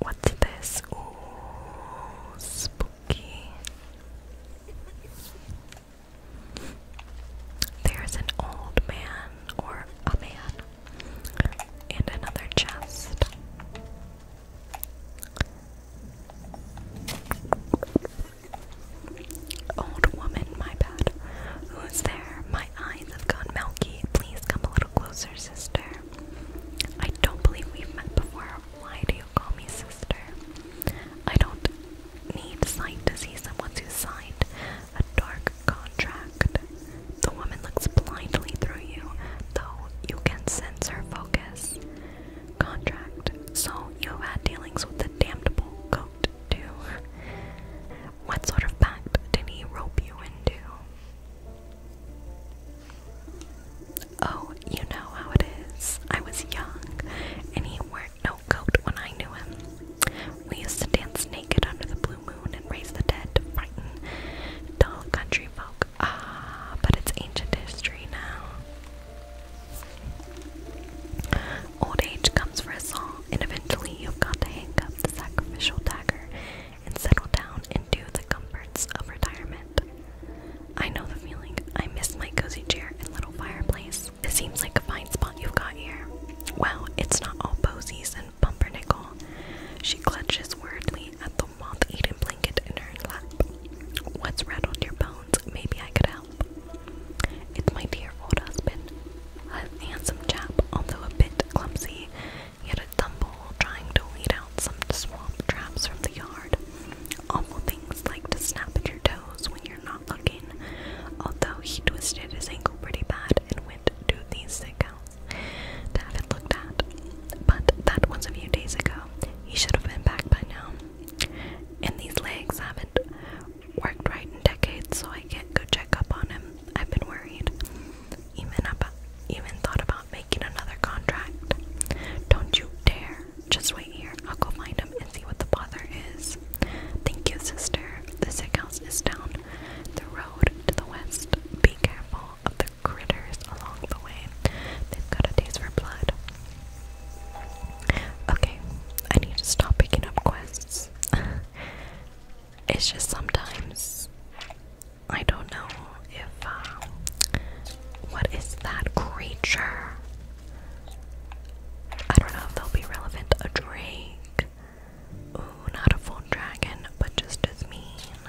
What's this? Oh, spooky. There's an old man or a man and another chest. Old woman, my bad. Who's there? My eyes have gone milky. Please come a little little closer, sister. I don't believe we've met before. Why do you call me sister? I don't need sight to see someone who signed a dark contract. The woman looks blindly through you, though you can sense her focus. Contract. So you had dealings with the damnable goat, too. What sort of pact did he rope you into? Oh, you know how it is. I was young, and he wore no coat when I knew him. We used to dance naked under the blue moon and raise the dead to frighten dull country folk. Ah, but it's ancient history now. Old age comes for us all, and eventually you've got to hang up the sacrificial dagger and settle down into the comforts of retirement. I know the feeling. I miss my cozy chair and little fireplace. It seems like a fine spot you've got here. Well, it's not all posies and bumper nickel. She clutches worriedly at the moth-eaten blanket in her lap. What's rattled your bones? Maybe I could help. It's my dear old husband. A handsome chap, although a bit clumsy, Yet a tumble trying to weed out some swamp traps from the yard. Awful things like to snap at your toes when you're not looking. Although he twisted his ankle pretty bad and went to the sick house to looked at. But that was a few days ago. He should have been back by now. And these legs haven't worked right in decades, so I can't go check up on him. I've been worried even about, even thought about making another contract. Don't you dare! Just wait here. I'll go find him and see what the bother is. Thank you, sister. The sick house is down the road to the west. Be careful of the critters along the way. They've got a taste for blood. Okay, I need to stop picking up quests. it's just sometimes I don't know if um, what is that creature? I don't know if they'll be relevant. A drake. Ooh, not a full dragon, but just as mean.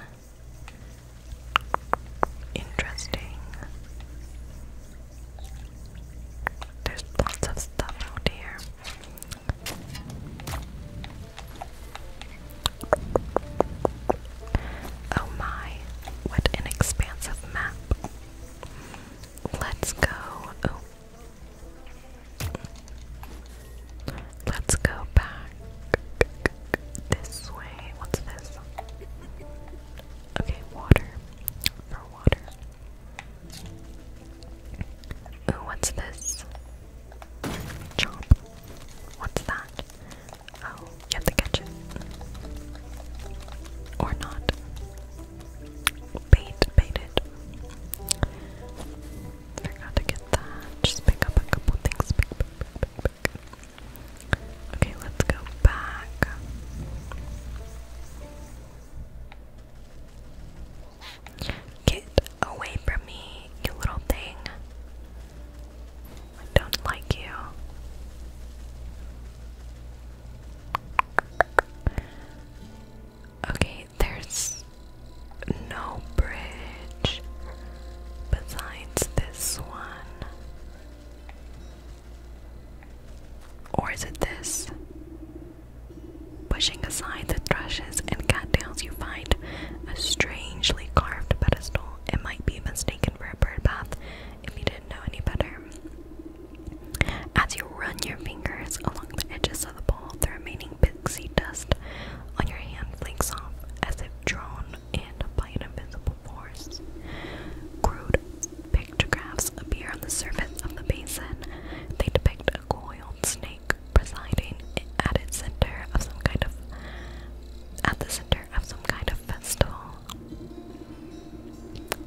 Interesting. There's lots of stuff out here. Oh my, what an expansive map. Let's go. Let's go back this way. What's this? Okay, water. For water. Ooh, what's this? Chomp. What's that? Oh, you have to Or not. Bait, bait Forgot to get that. Just pick up a couple things. Okay, let's go back. Get away from me, you little thing. I don't like you. Okay, there's no bridge besides this one. Or is it this? Pushing aside the thrushes and cattails, you find a strangely carved pedestal. It might be mistaken for a bird bath if you didn't know any better. As you run your fingers along the edges of the bowl, the remaining pixie dust on your hand flakes off as if drawn in by an invisible force. Crude pictographs appear on the surface of the basin. They depict a coiled snake presiding at its center of some kind of at the center of some kind of festival.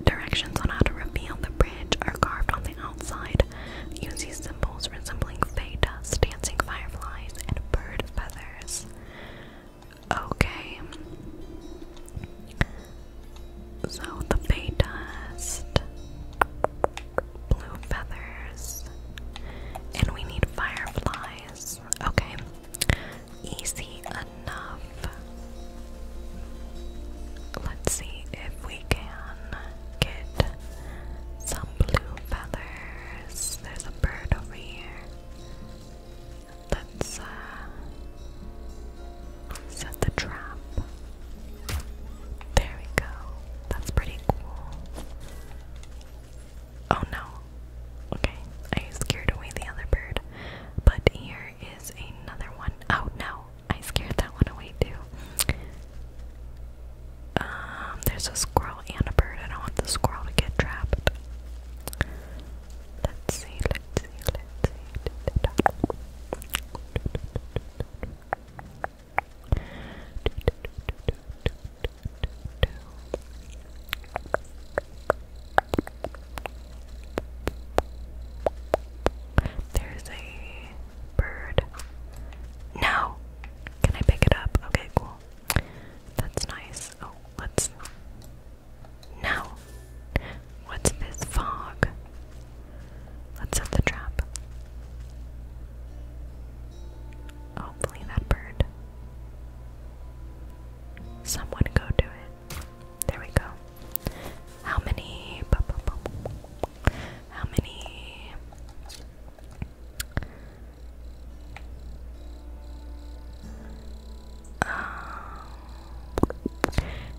Directions on how to reveal the bridge are carved on the outside using symbols resembling fey dust, dancing fireflies, and bird feathers. Okay. So the fey dust blue feathers. And we need fireflies. Okay. Easy enough. Let's see if we can get some blue feathers. There's a bird over here. Let's uh, set the trap. There we go. That's pretty cool. Oh no. Okay, I scared away the other bird. But here is another one. Oh no, I scared that one away too. Um, there's a squirrel and a bird. I don't want the squirrel to get trapped. Let's see, let's see, let's see. There's a bird. No! Can I pick it up? Okay, cool. That's nice. Oh, let's. No! What's this fog? Let's set the trap. Hopefully that bird. Someone go do it. There we go. How many how many um,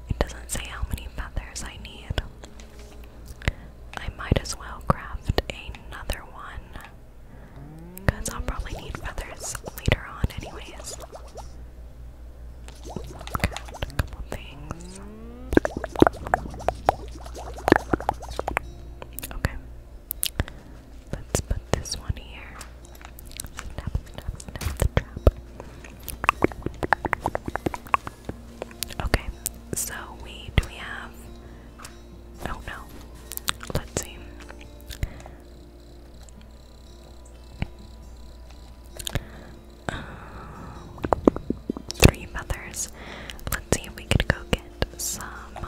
it doesn't say how many feathers I need. I might as well craft another one. Because I'll probably need feathers later on, anyways. Got a couple things. Okay. Let's put this one here. Okay, so we do we have Oh no. Let's see. Uh, three mothers. Let's see if we could go get some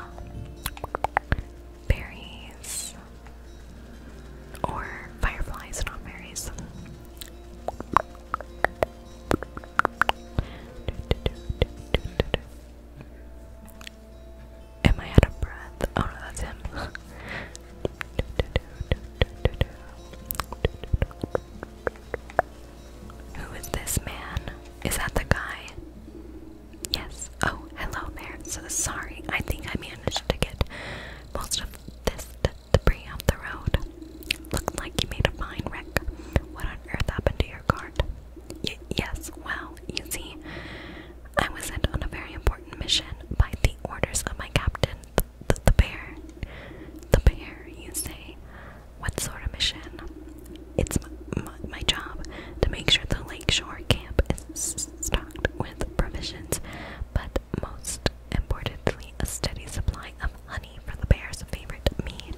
berries or fireflies, not berries. Am I out of breath? Oh no, that's him. Who is this man? Is that the guy? Yes. Oh, hello there. So sorry. I think I managed to get most of this debris off the road. Looks like you made a fine wreck. What on earth happened to your cart? yes, well, you see, I was sent on a very important mission by the orders of my captain, th the bear. The bear, you say? What sort of mission? It's my job to make sure the lakeshore camp is stocked with provisions, but most importantly, a steady supply of honey for the bear's favorite mead.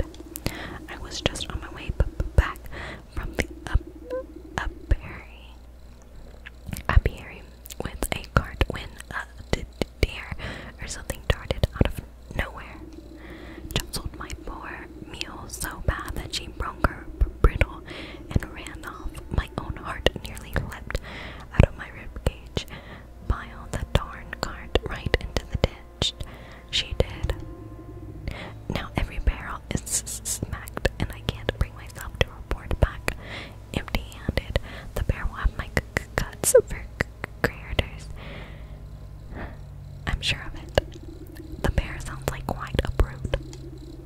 I was just on my way back from the up apiary, apiary with a cart when a deer or something darted out of nowhere. Jostled my poor mule so bad that she broke her bridle and ran off. My own heart nearly leapt out of my rib ribcage. Pile the darn cart right into the ditch. She did. Now every barrel is smacked, and I can't bring myself to report back empty-handed. The bear will have my guts for craters. I'm sure of it. The bear sounds like quite a brute.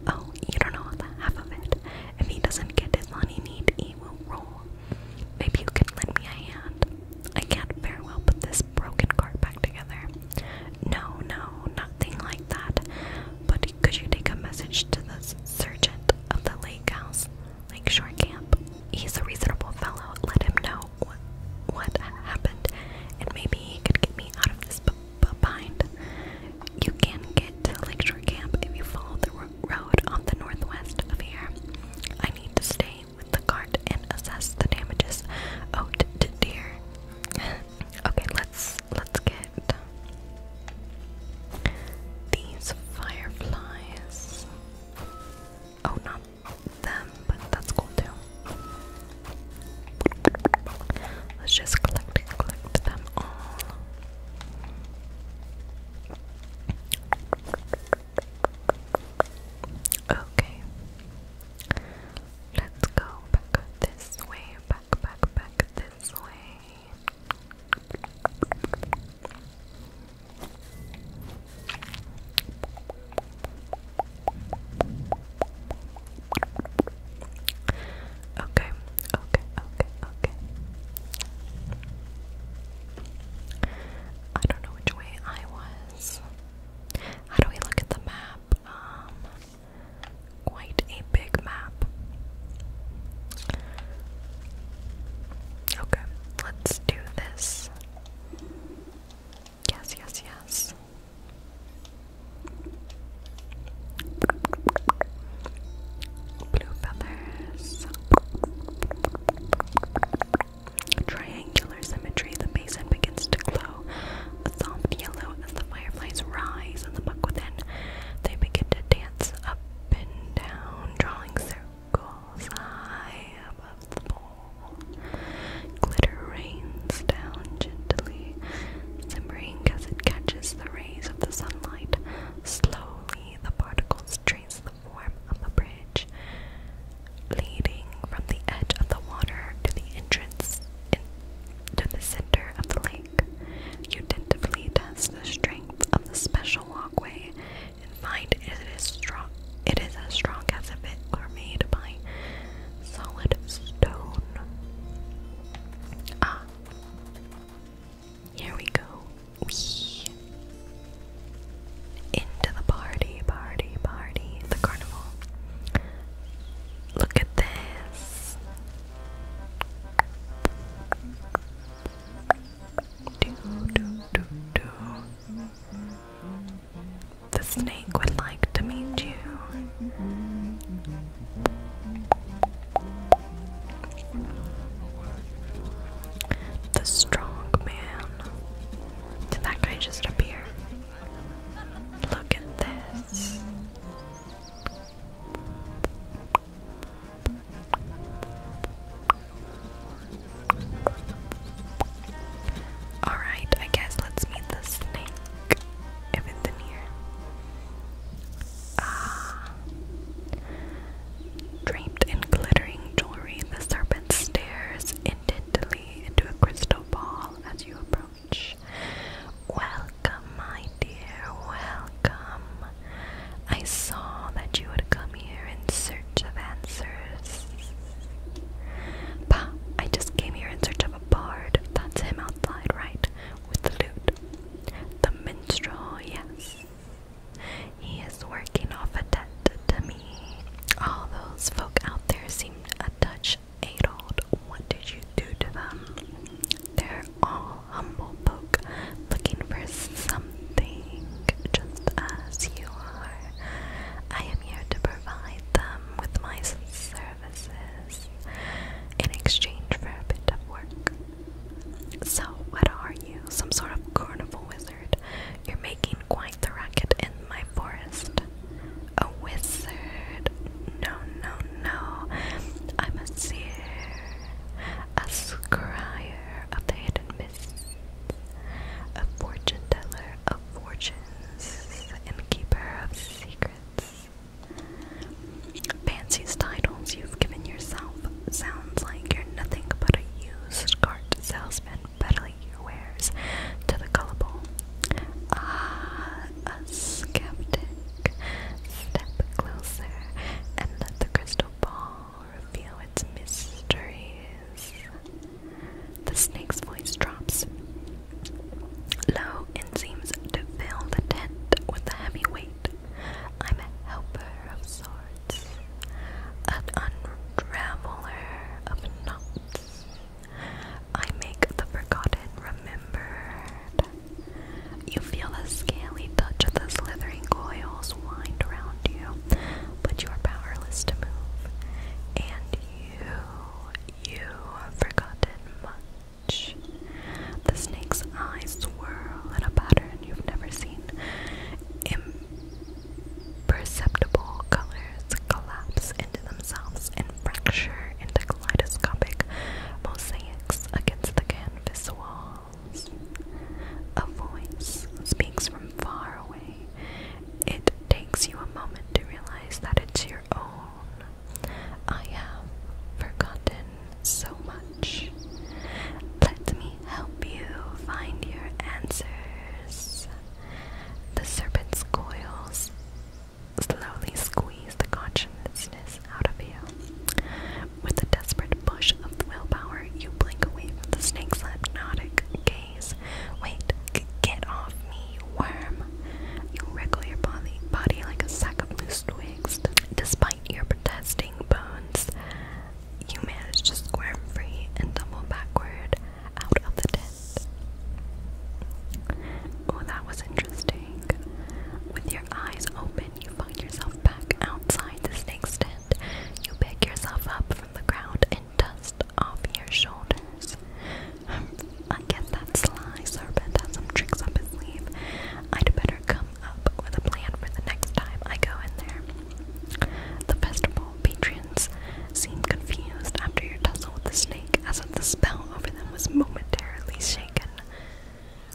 Oh, you don't know half of it. If he doesn't get his money need, he will roll. Maybe you can lend me a hand. I can't very well put this broken cart back together. No, no, nothing like that. But could you take a message to the sergeant of the lake house, Lake Shore Camp? He's a reasonable fellow. Let him know what, what happened, and maybe he could get me out of this bind. You can get to Lake Shore Camp if you follow the road on the northwest of here. I need to stay with the cart and assess the damages owed to deer. okay, let's let's get these fireflies. Oh, not them, but that's cool too. Let's just collect collect them all. Okay. Let's go back this way, back, back, back this way. Okay, okay, okay, okay. I don't know which way I was. How do we look at the map? Um, quite a big map. Okay, let's do this. Yes, yes, yes. Blue feathers. Triangular symmetry. The basin begins to glow a soft yellow as the fireflies rise in the muck within. They begin to dance up and down, drawing circles high above the bowl. Glitter rains down gently, shimmering as it catches the rays of the sunlight. Slowly, the particles trace the form of the bridge leading from the edge of the water to the entrance into the center of the lake. You tentatively test the strength of the special walkway and find it is strong. It is as strong as if it were made by solid stone. Ah, here we go. into the party, party, party, the carnival. Look at this. The snake would like to meet you. The strong man. Did that guy just appear? Look at this. Alright, I guess let's meet the snake if it's in here. Ah. Draped in glittering jewelry, the serpent stares intently into a crystal ball as you approach. Welcome, my dear, welcome. I saw that you would come here in search of answers. Bah, I just came here in search of a bard. That's him outside, right? With the lute. The minstrel, yes. He is working off a debt to me. All those folk out there seem a touch eight what did you do to them? They're all humble folk looking for something, just as you are. I am here to provide them with my services in exchange for a bit of work. So, what are you? Some sort of carnival wizard? You're making quite the racket in my forest. A wizard. No, no, no. I'm a seer. A scryer of the hidden mists. A fortune teller of fortunes. And keeper of secrets. Fancy's titles you've given yourself sounds like you're nothing but a used cart salesman peddling your wares to the gullible. Ah, a skeptic. Step closer and let the crystal ball reveal its mysteries. The snake's voice drops low and seems to fill the tent with a heavy weight. I'm a helper of sorts, an unraveler of knots. I make the forgotten remembered. You feel the scaly touch of the slithering coils wind around you, but you are powerless to move. And you, you have forgotten much. The snake's eyes swirl in a pattern you've never seen. Imperceptible colors collapse into themselves fracture in the kaleidoscopic mosaics against the canvas walls. A voice speaks from far away. It takes you a moment to realize that it's your own. I have forgotten so much. Let me help you find your answers. The serpent's coils slowly squeeze the consciousness out of you. With a desperate push of willpower, you blink away from the snake's hypnotic gaze. Wait, get off me, you worm! You wriggle your body, body like a sack of loose twigs. Despite your protesting bones, you manage to squirm free and tumble backward out of the tent. Oh, that was interesting. With your eyes open, you find yourself back outside the snake stand. You pick yourself up from the ground and dust off your shoulders. I guess that sly serpent has some tricks up his sleeve. I'd better come up with a plan for the next time I go in there. The festival patrons seem confused after your tussle with the snake, as if the spell over them was momentarily shaken.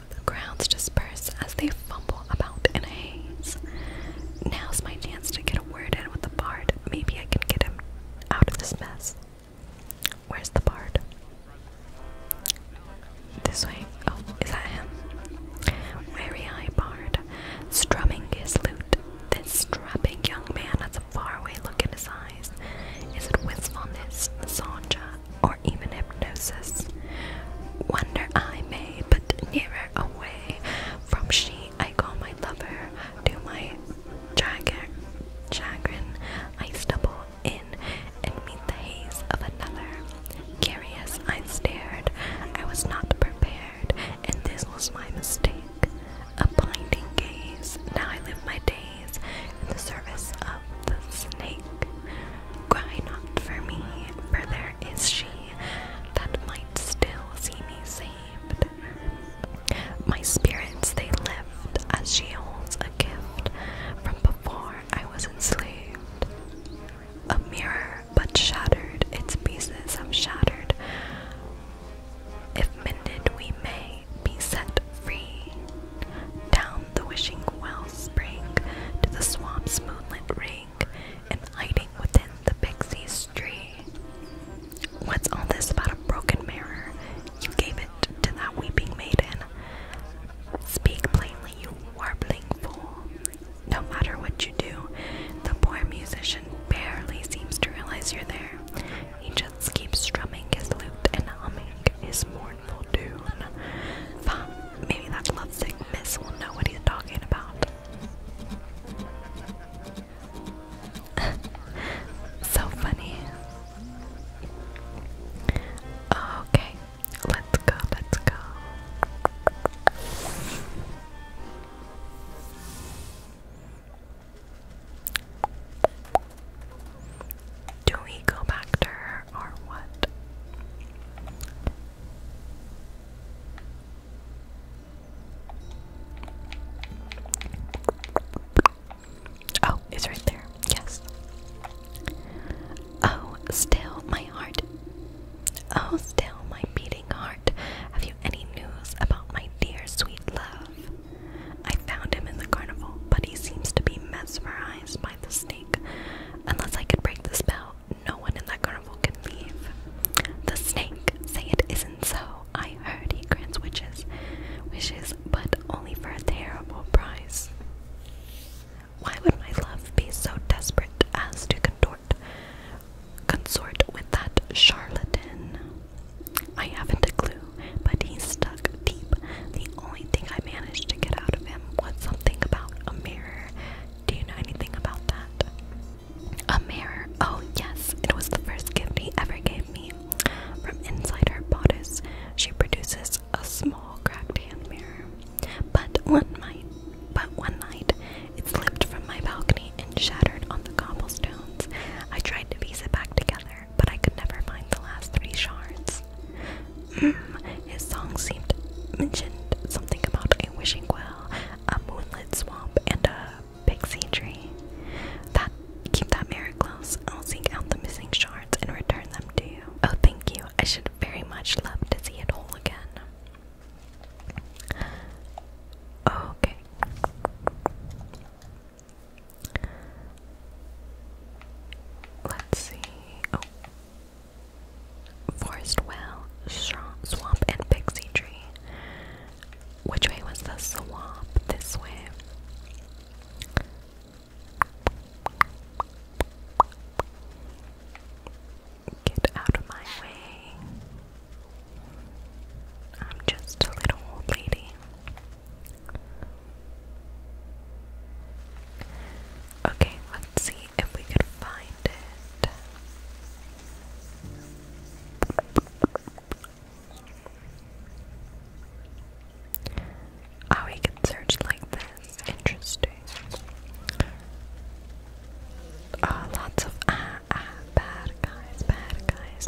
The crowds disperse as they fumble about in a haze. Now's my chance to get a word in with the bard. Maybe I can get him out of this mess. Where's the bard? This way. Oh, is that him? Wary eye bard, strumming his lute. This strapping young man at the Far away, look in his eyes. Is it wistfulness, Sanja, or even hypnosis? Wonder I may, but nearer away from she I call my lover, to my chagrin. Chagrin I stumble in and meet the haze of another. Curious I stared, I was not prepared, and this was my mistake a blinding gaze. Now I live my days in the service of the snake. Cry not for me, for there is she that might still see me saved. My spirits they lift as she holds a gift from before I was enslaved. A mirror, but shattered, its pieces have shattered. If mended we may, be set free. Down the wishing well spring to the swamp's moonlit ring, and hiding within the pixie's tree. What's all this about a broken mirror? You gave it to that weeping maiden. Speak plainly, you warbling fool. No matter what you do, the poor musician barely seems to realize you're there. He just keeps strumming his lute and humming his mournful tune. maybe that lovesick miss will know what he's talking about. so funny. Okay, let's go, let's go. Do we go back to her or what? Oh, it's right there. Yes. Oh, still my heart. Oh, still my beating heart. Have you any news about my dear sweet love? I found him in the carnival, but he seems to be mesmerized by the snake. Unless I could break the spell, no one in that carnival can leave. The snake, say it isn't so. I heard he grants wishes, wishes, but only for a terrible price. Why would my love be so desperate as to contort, consort with that charlatan? I haven't a clue, but he's stuck deep. The only thing I managed to get out of him was something about a mirror. Do you know anything about that? A mirror. Oh, yes, it was the first gift he ever gave me. From inside her bodice, she produces a small cracked hand mirror. But one night, but one night, it slipped from my balcony and shattered on the cobblestones. I tried to piece it back together, but I could never find the last three shards. Hmm, his song seemed mentioned something about a wishing well, a moonlit swamp, and a pixie tree. That keep that mirror close. I'll seek out the missing shards and return them to you. Oh, thank you. I should very much love to see it all again. Okay. Let's see. Oh. Forest well, swamp, and pixie tree. Which way was the swamp? This way. Get out of my way. I'm just a little old lady. Okay, let's see if we can find it. Oh, we can search like this. Interesting. Oh, lots of ah, ah, bad guys, bad guys.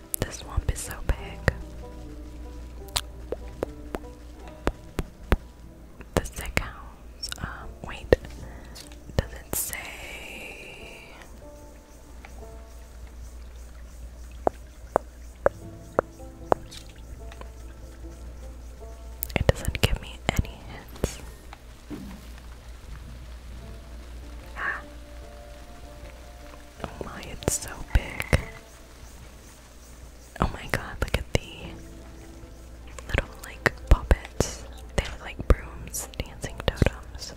The swamp is so big. The sick um, wait. Does it say? It doesn't give me any hints. Oh my, it's so big. Oh my god, look at the little like puppets. They look like brooms, dancing totems.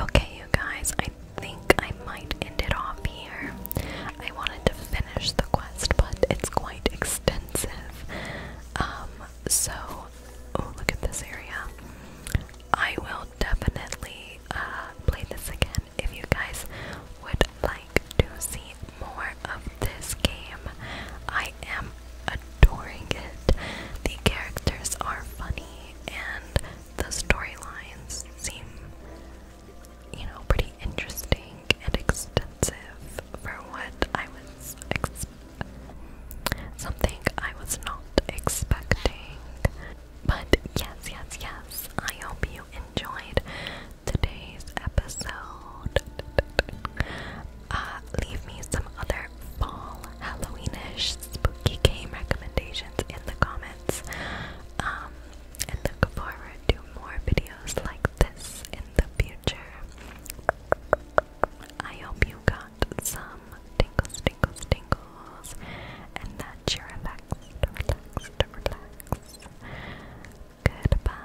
Okay, you guys, I think I might end it off here. I wanted to finish the quest, but it's quite extensive. Um, so, oh, look at this area. I will definitely uh, play this again if you guys would like to see more of this game. I am adoring it. The characters are funny and the storylines seem you know, pretty interesting and extensive for what I was ex something I was not expecting. But yes, yes, yes. I hope you enjoyed today's episode. Uh, leave me some other fall Halloweenish spooky game recommendations in the comments. Um, and look forward to more videos like this the future. I hope you got some tingles, tingles, tingles, and that you're relaxed, relaxed, relaxed. Goodbye.